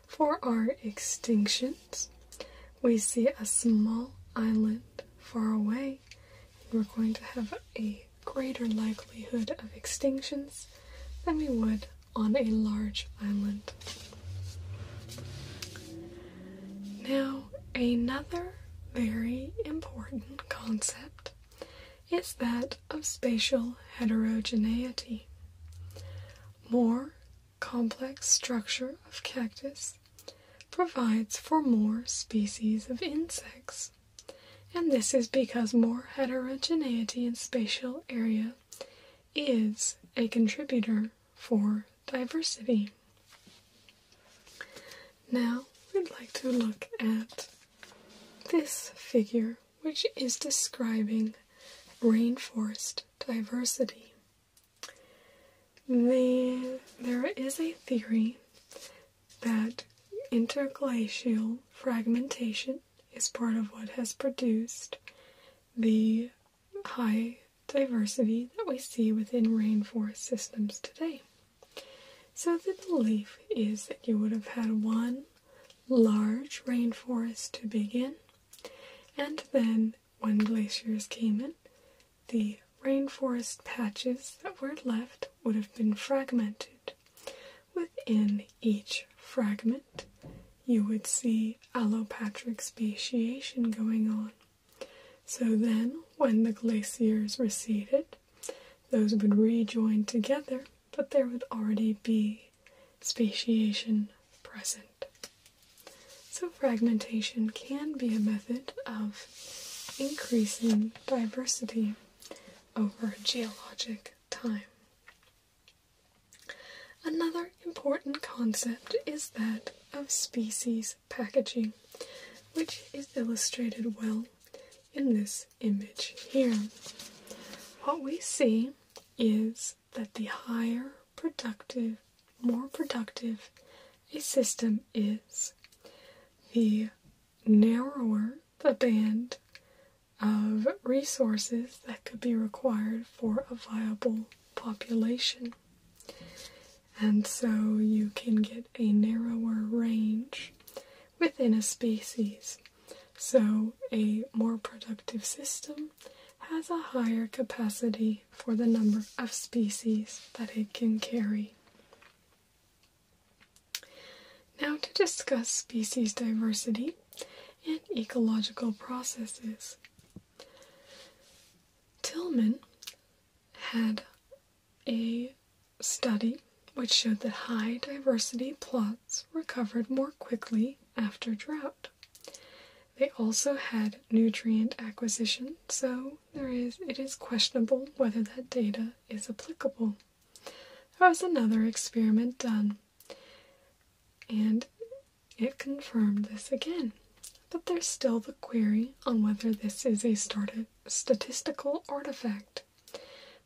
For our extinctions, we see a small island far away, and we're going to have a greater likelihood of extinctions than we would on a large island. Now, another very important concept is that of spatial heterogeneity. More complex structure of cactus provides for more species of insects and this is because more heterogeneity in spatial area is a contributor for diversity. Now we'd like to look at this figure, which is describing rainforest diversity. The, there is a theory that interglacial fragmentation is part of what has produced the high diversity that we see within rainforest systems today. So, the belief is that you would have had one large rainforest to begin, and then when glaciers came in, the rainforest patches that were left would have been fragmented Within each fragment, you would see allopatric speciation going on. So then, when the glaciers receded, those would rejoin together, but there would already be speciation present. So, fragmentation can be a method of increasing diversity over geologic time. Another important concept is that of species packaging, which is illustrated well in this image here. What we see is that the higher productive, more productive a system is, the narrower the band of resources that could be required for a viable population. And so you can get a narrower range within a species. So, a more productive system has a higher capacity for the number of species that it can carry. Now, to discuss species diversity and ecological processes. Tillman had a study which showed that high diversity plots recovered more quickly after drought. They also had nutrient acquisition, so there is it is questionable whether that data is applicable. There was another experiment done, and it confirmed this again. But there's still the query on whether this is a statistical artifact.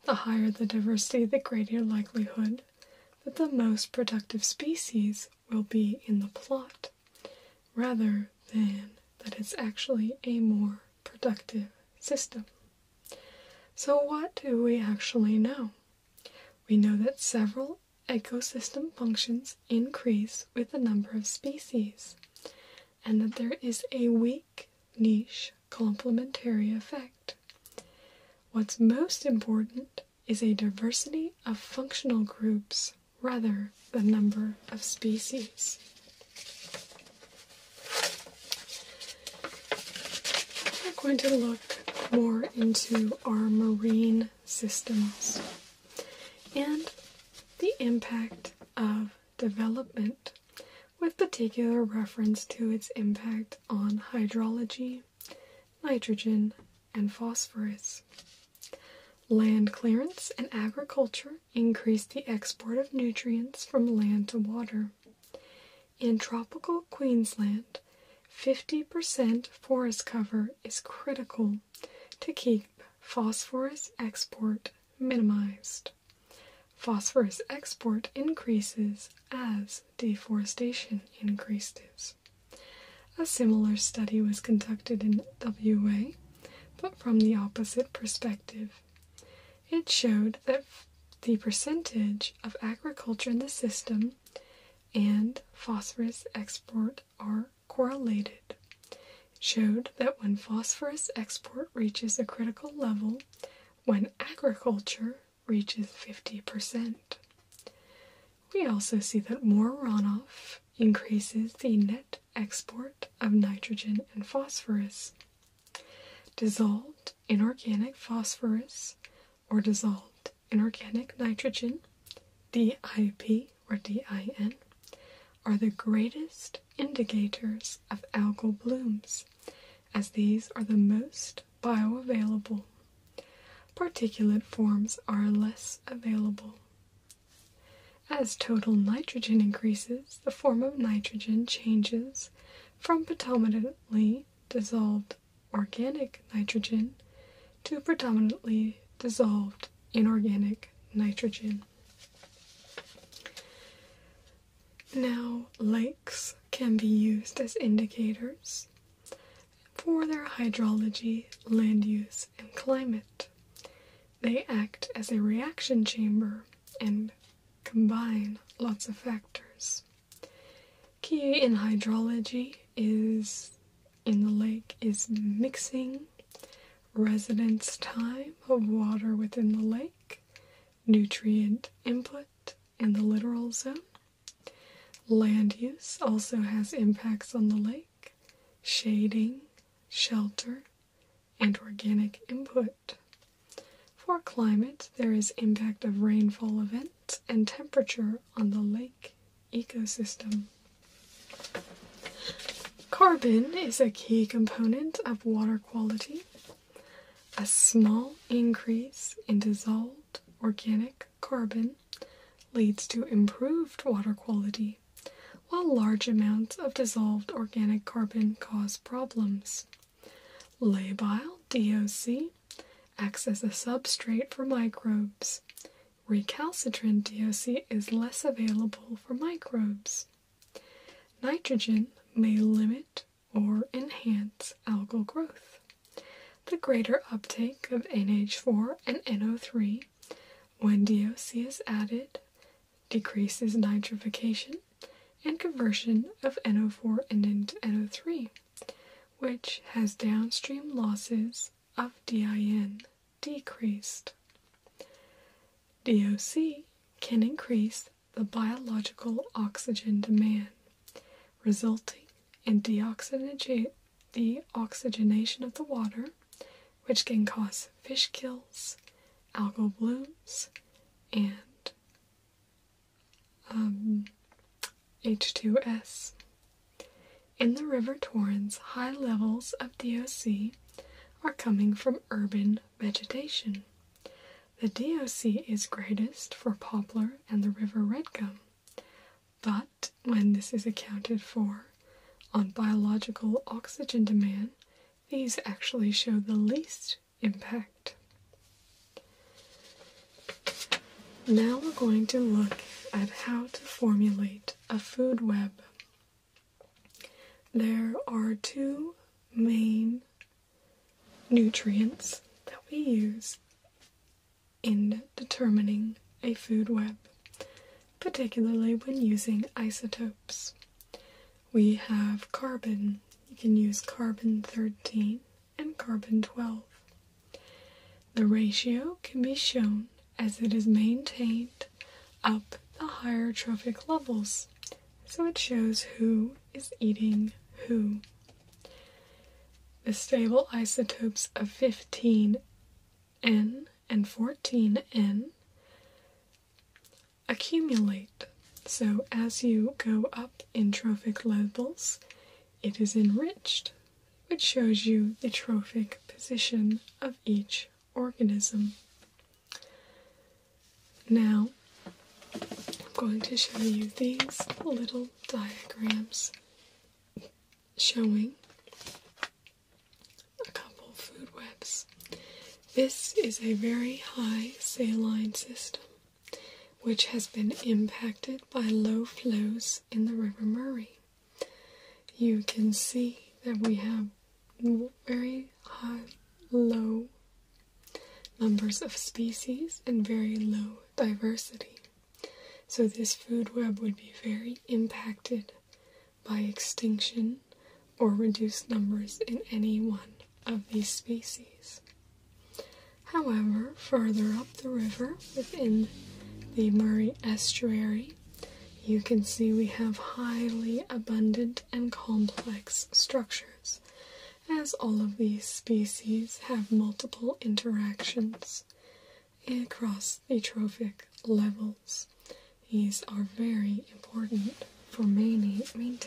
The higher the diversity, the greater likelihood that the most productive species will be in the plot, rather than that it's actually a more productive system. So, what do we actually know? We know that several ecosystem functions increase with the number of species, and that there is a weak niche complementary effect. What's most important is a diversity of functional groups rather than number of species. We're going to look more into our marine systems and the impact of development, with particular reference to its impact on hydrology, nitrogen, and phosphorus. Land clearance and agriculture increase the export of nutrients from land to water. In tropical Queensland, 50% forest cover is critical to keep phosphorus export minimized. Phosphorus export increases as deforestation increases. A similar study was conducted in WA, but from the opposite perspective. It showed that the percentage of agriculture in the system and phosphorus export are correlated. It showed that when phosphorus export reaches a critical level, when agriculture reaches 50%. We also see that more runoff increases the net export of nitrogen and phosphorus, Dissolved inorganic phosphorus or dissolved inorganic nitrogen, DIP or DIN, are the greatest indicators of algal blooms, as these are the most bioavailable. Particulate forms are less available. As total nitrogen increases, the form of nitrogen changes from predominantly dissolved organic nitrogen to predominantly dissolved inorganic nitrogen. Now, lakes can be used as indicators for their hydrology, land use, and climate. They act as a reaction chamber and combine lots of factors. Key in hydrology is in the lake is mixing residence time of water within the lake, nutrient input in the littoral zone. Land use also has impacts on the lake, shading, shelter, and organic input. For climate, there is impact of rainfall events and temperature on the lake ecosystem. Carbon is a key component of water quality. A small increase in dissolved organic carbon leads to improved water quality, while large amounts of dissolved organic carbon cause problems. Labile DOC acts as a substrate for microbes. Recalcitrant DOC is less available for microbes. Nitrogen may limit or enhance algal growth. The greater uptake of NH4 and NO3 when DOC is added decreases nitrification and conversion of NO4 into NO3, which has downstream losses of DIN decreased. DOC can increase the biological oxygen demand, resulting in deoxygenation of the water, which can cause fish kills, algal blooms, and um, H2S. In the River Torrens, high levels of DOC are coming from urban vegetation. The DOC is greatest for poplar and the river redgum, but when this is accounted for on biological oxygen demand, these actually show the least impact. Now we're going to look at how to formulate a food web. There are two main nutrients that we use in determining a food web, particularly when using isotopes. We have carbon. You can use carbon 13 and carbon 12. The ratio can be shown as it is maintained up the higher trophic levels, so it shows who is eating who. The stable isotopes of 15N and 14N accumulate, so as you go up in trophic levels, it is enriched, which shows you the trophic position of each organism. Now, I'm going to show you these little diagrams showing a couple food webs. This is a very high saline system which has been impacted by low flows in the River Murray. You can see that we have very high, low numbers of species and very low diversity. So, this food web would be very impacted by extinction or reduced numbers in any one of these species. However, further up the river within the Murray estuary, you can see we have highly abundant and complex structures, as all of these species have multiple interactions across the trophic levels. These are very important for maintaining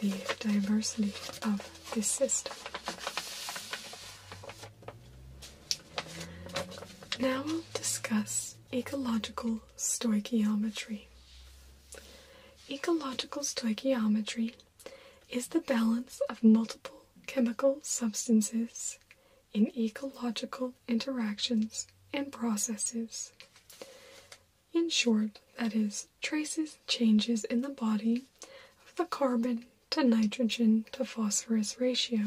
the diversity of this system. Now we'll discuss ecological stoichiometry. Ecological stoichiometry is the balance of multiple chemical substances in ecological interactions and processes. In short, that is traces changes in the body of the carbon to nitrogen to phosphorus ratio.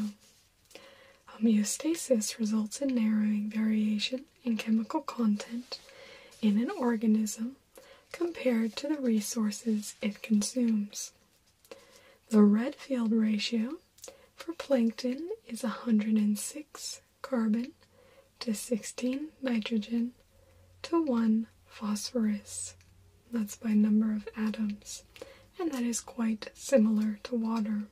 Homeostasis results in narrowing variation in chemical content in an organism compared to the resources it consumes. The red field ratio for plankton is 106 carbon to 16 nitrogen to 1 phosphorus. That's by number of atoms, and that is quite similar to water.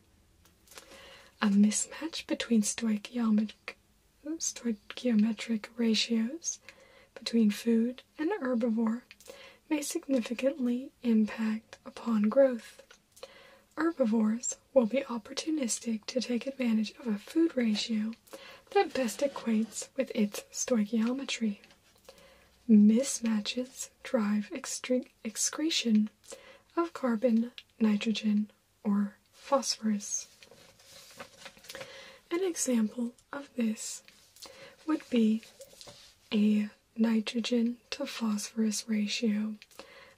A mismatch between stoichiometric, ratios between food and herbivore may significantly impact upon growth. Herbivores will be opportunistic to take advantage of a food ratio that best equates with its stoichiometry. Mismatches drive excretion of carbon, nitrogen, or phosphorus. An example of this would be a nitrogen to phosphorus ratio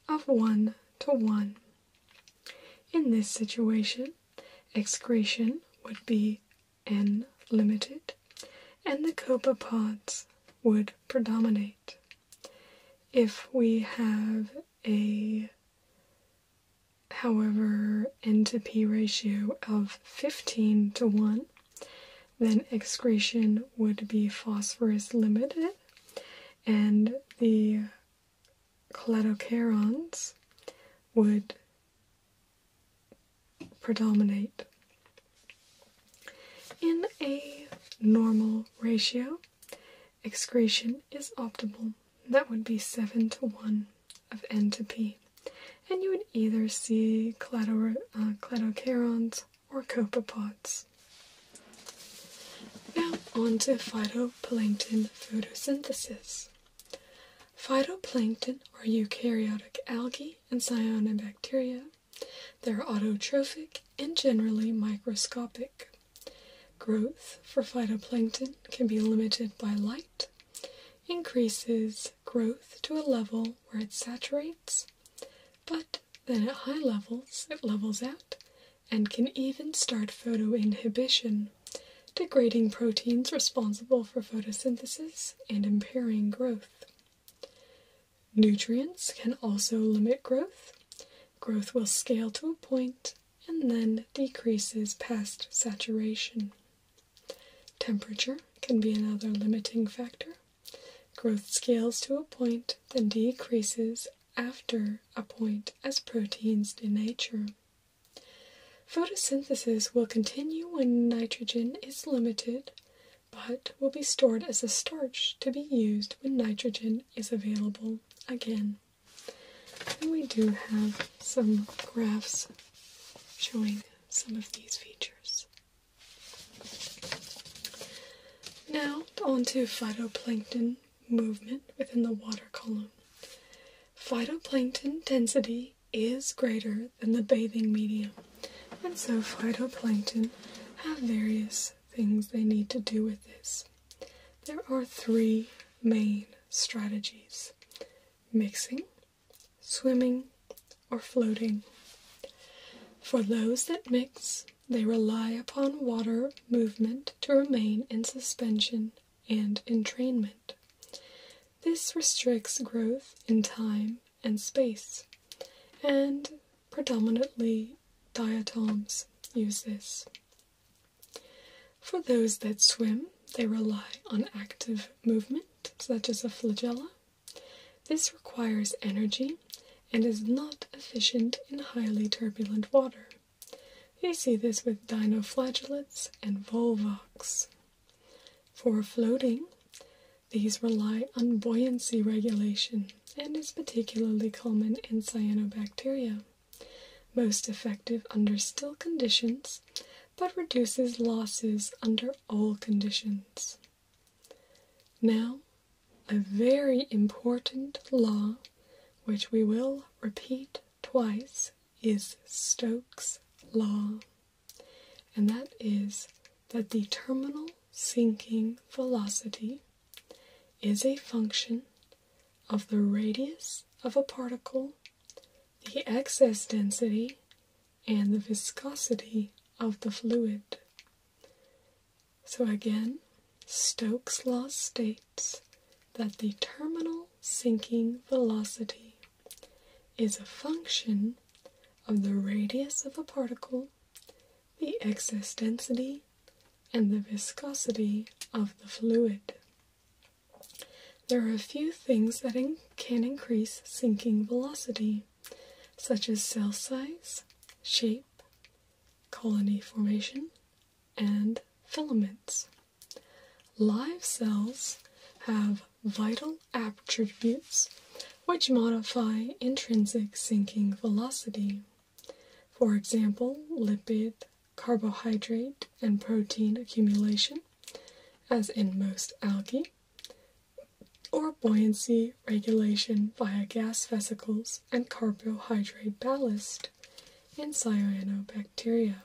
of 1 to 1. In this situation, excretion would be N limited, and the copepods would predominate. If we have a, however, N to P ratio of 15 to 1, then excretion would be phosphorus limited, and the cladocherons would predominate in a normal ratio excretion is optimal that would be 7 to 1 of n to p and you would either see clado, uh, cladocarons or copepods now on to phytoplankton photosynthesis Phytoplankton are eukaryotic algae and cyanobacteria. They're autotrophic and generally microscopic. Growth for phytoplankton can be limited by light, increases growth to a level where it saturates, but then at high levels it levels out and can even start photoinhibition degrading proteins responsible for photosynthesis and impairing growth. Nutrients can also limit growth. Growth will scale to a point and then decreases past saturation. Temperature can be another limiting factor. Growth scales to a point, then decreases after a point as proteins denature. Photosynthesis will continue when nitrogen is limited, but will be stored as a starch to be used when nitrogen is available again. And we do have some graphs showing some of these features. Now, on to phytoplankton movement within the water column. Phytoplankton density is greater than the bathing medium, and so phytoplankton have various things they need to do with this. There are three main strategies mixing, swimming, or floating. For those that mix, they rely upon water movement to remain in suspension and entrainment. This restricts growth in time and space, and predominantly diatoms use this. For those that swim, they rely on active movement, such as a flagella. This requires energy and is not efficient in highly turbulent water. You see this with dinoflagellates and volvox. For floating, these rely on buoyancy regulation and is particularly common in cyanobacteria. Most effective under still conditions, but reduces losses under all conditions. Now, a very important law, which we will repeat twice, is Stokes' Law and that is that the terminal sinking velocity is a function of the radius of a particle, the excess density, and the viscosity of the fluid. So again, Stokes' law states that the terminal sinking velocity is a function of the radius of a particle, the excess density, and the viscosity of the fluid. There are a few things that can increase sinking velocity, such as cell size, shape, colony formation, and filaments. Live cells have vital attributes which modify intrinsic sinking velocity. For example, lipid, carbohydrate, and protein accumulation, as in most algae, or buoyancy regulation via gas vesicles and carbohydrate ballast in cyanobacteria.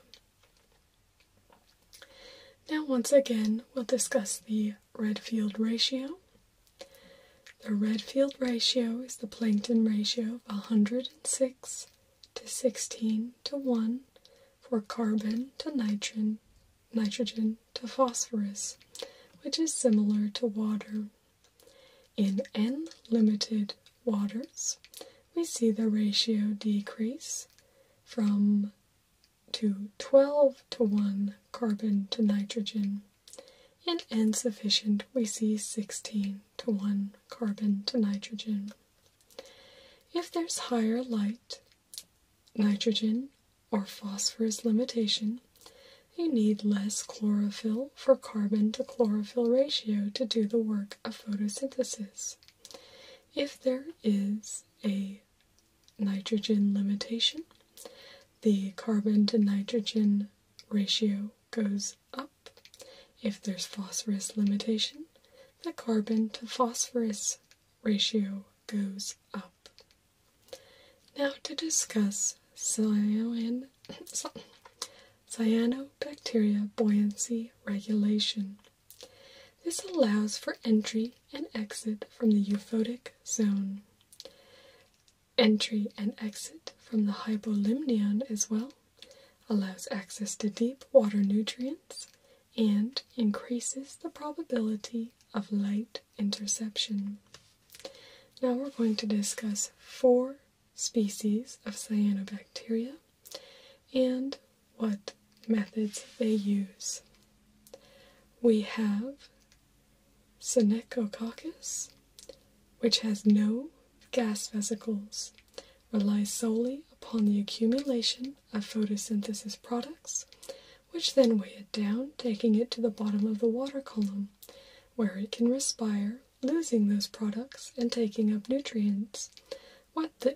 Now, once again, we'll discuss the Redfield ratio. The Redfield ratio is the Plankton ratio of 106 to 16 to 1 for carbon to nitrogen, nitrogen to phosphorus, which is similar to water. In N limited waters, we see the ratio decrease from to 12 to 1 carbon to nitrogen, in n sufficient, we see 16 to 1 carbon to nitrogen. If there's higher light, nitrogen, or phosphorus limitation, you need less chlorophyll for carbon to chlorophyll ratio to do the work of photosynthesis. If there is a nitrogen limitation, the carbon to nitrogen ratio goes up. If there's phosphorus limitation, the carbon to phosphorus ratio goes up. Now to discuss cyanobacteria buoyancy regulation. This allows for entry and exit from the euphotic zone. Entry and exit from the hypolimnion as well allows access to deep water nutrients and increases the probability of light interception. Now we're going to discuss four species of cyanobacteria and what methods they use. We have Senecococcus, which has no gas vesicles, relies solely upon the accumulation of photosynthesis products, which then weigh it down, taking it to the bottom of the water column, where it can respire, losing those products and taking up nutrients,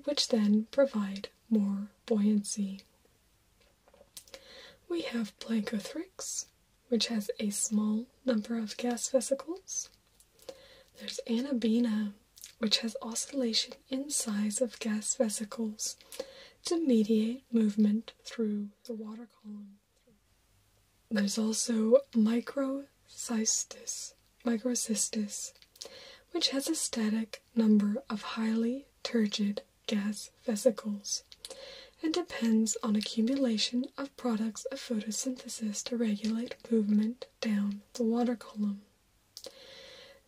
which then provide more buoyancy. We have Blankothrix, which has a small number of gas vesicles. There's Anabena, which has oscillation in size of gas vesicles to mediate movement through the water column. There's also Microcystis, microcystis which has a static number of highly turgid gas vesicles and depends on accumulation of products of photosynthesis to regulate movement down the water column.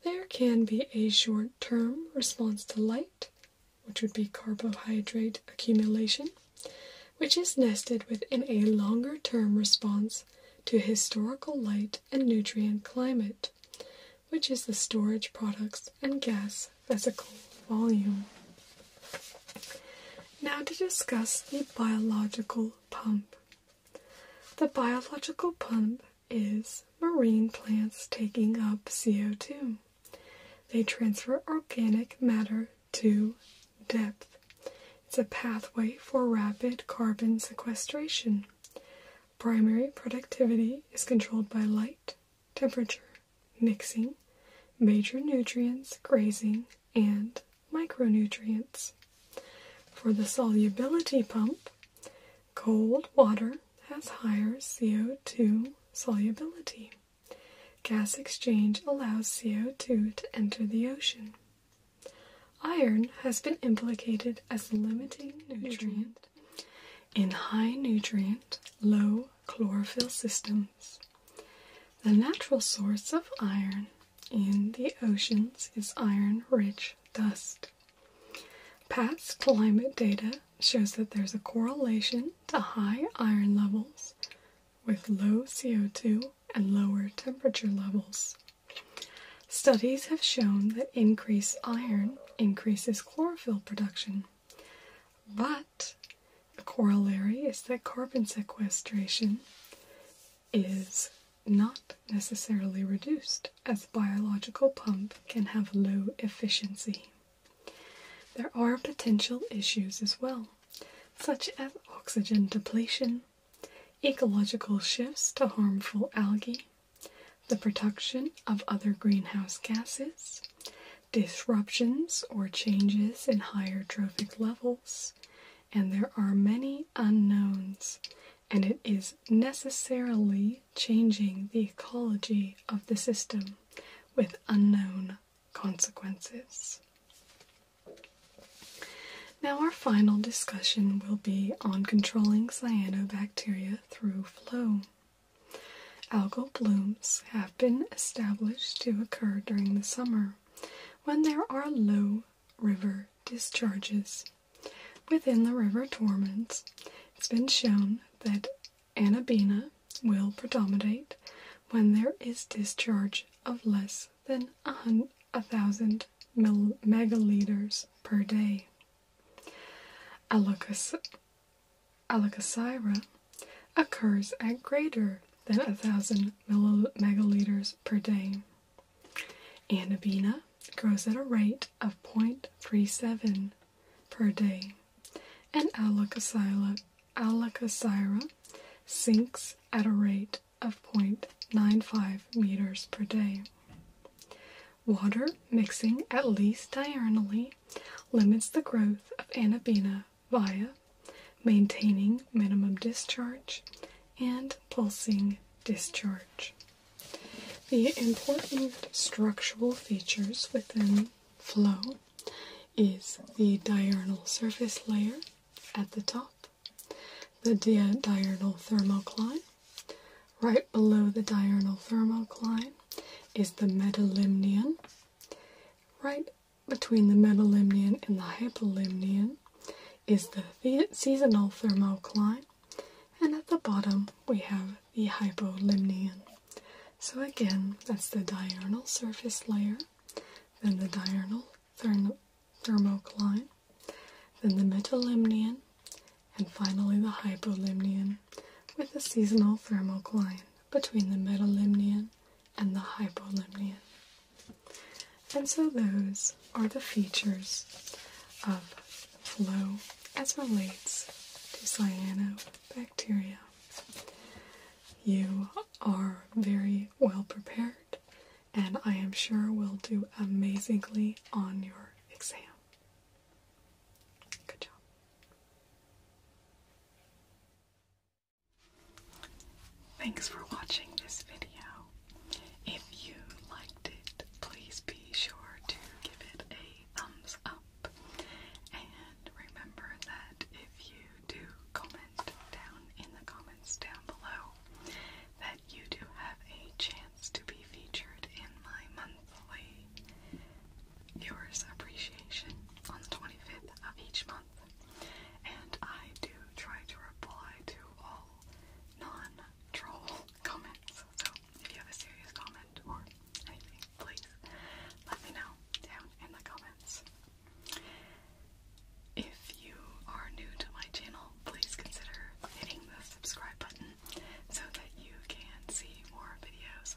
There can be a short term response to light, which would be carbohydrate accumulation, which is nested within a longer term response to historical light and nutrient climate, which is the storage products and gas vesicle volume. Now, to discuss the biological pump. The biological pump is marine plants taking up CO2. They transfer organic matter to depth. It's a pathway for rapid carbon sequestration. Primary productivity is controlled by light, temperature, mixing, major nutrients, grazing, and micronutrients. For the solubility pump, cold water has higher CO2 solubility. Gas exchange allows CO2 to enter the ocean. Iron has been implicated as limiting nutrient in high nutrient, low chlorophyll systems. The natural source of iron in the oceans is iron rich dust. Past climate data shows that there's a correlation to high iron levels with low CO2 and lower temperature levels. Studies have shown that increased iron increases chlorophyll production, but a corollary is that carbon sequestration is not necessarily reduced, as biological pump can have low efficiency. There are potential issues as well, such as oxygen depletion, ecological shifts to harmful algae, the production of other greenhouse gases, disruptions or changes in higher trophic levels, and there are many unknowns, and it is necessarily changing the ecology of the system with unknown consequences. Now, our final discussion will be on controlling cyanobacteria through flow. Algal blooms have been established to occur during the summer when there are low river discharges. Within the river torments, it's been shown that anabina will predominate when there is discharge of less than a thousand megaliters per day. Alakazira occurs at greater than a thousand megaliters per day. Anabina grows at a rate of 0.37 per day, and Alakasira sinks at a rate of 0.95 meters per day. Water mixing at least diurnally limits the growth of anabena via maintaining minimum discharge and pulsing discharge. The important structural features within flow is the diurnal surface layer at the top, the diurnal thermocline, Right below the diurnal thermocline is the metalimnion. Right between the metalimnion and the hypolimnion is the, seasonal thermocline, and at the bottom we have the hypolimnion. So, again, that's the diurnal surface layer, then the diurnal thermocline, then the metalimnion, and finally the hypolimnion with a seasonal thermocline between the metalimnion and the hypolimnion. And so those are the features of flow as relates to cyanobacteria. You are very well prepared, and I am sure will do amazingly on your exam. Good job. Thanks for watching this video. If you liked it, please be sure to give it a thumbs up. And remember that if you do comment down in the comments down below, that you do have a chance to be featured in my monthly viewers appreciation on the 25th of each month, and I do try to reply to all non-troll comments. So if you have a serious comment or anything, please let me know down in the comments. If you are new to my channel, please consider hitting the subscribe button so that you can see more videos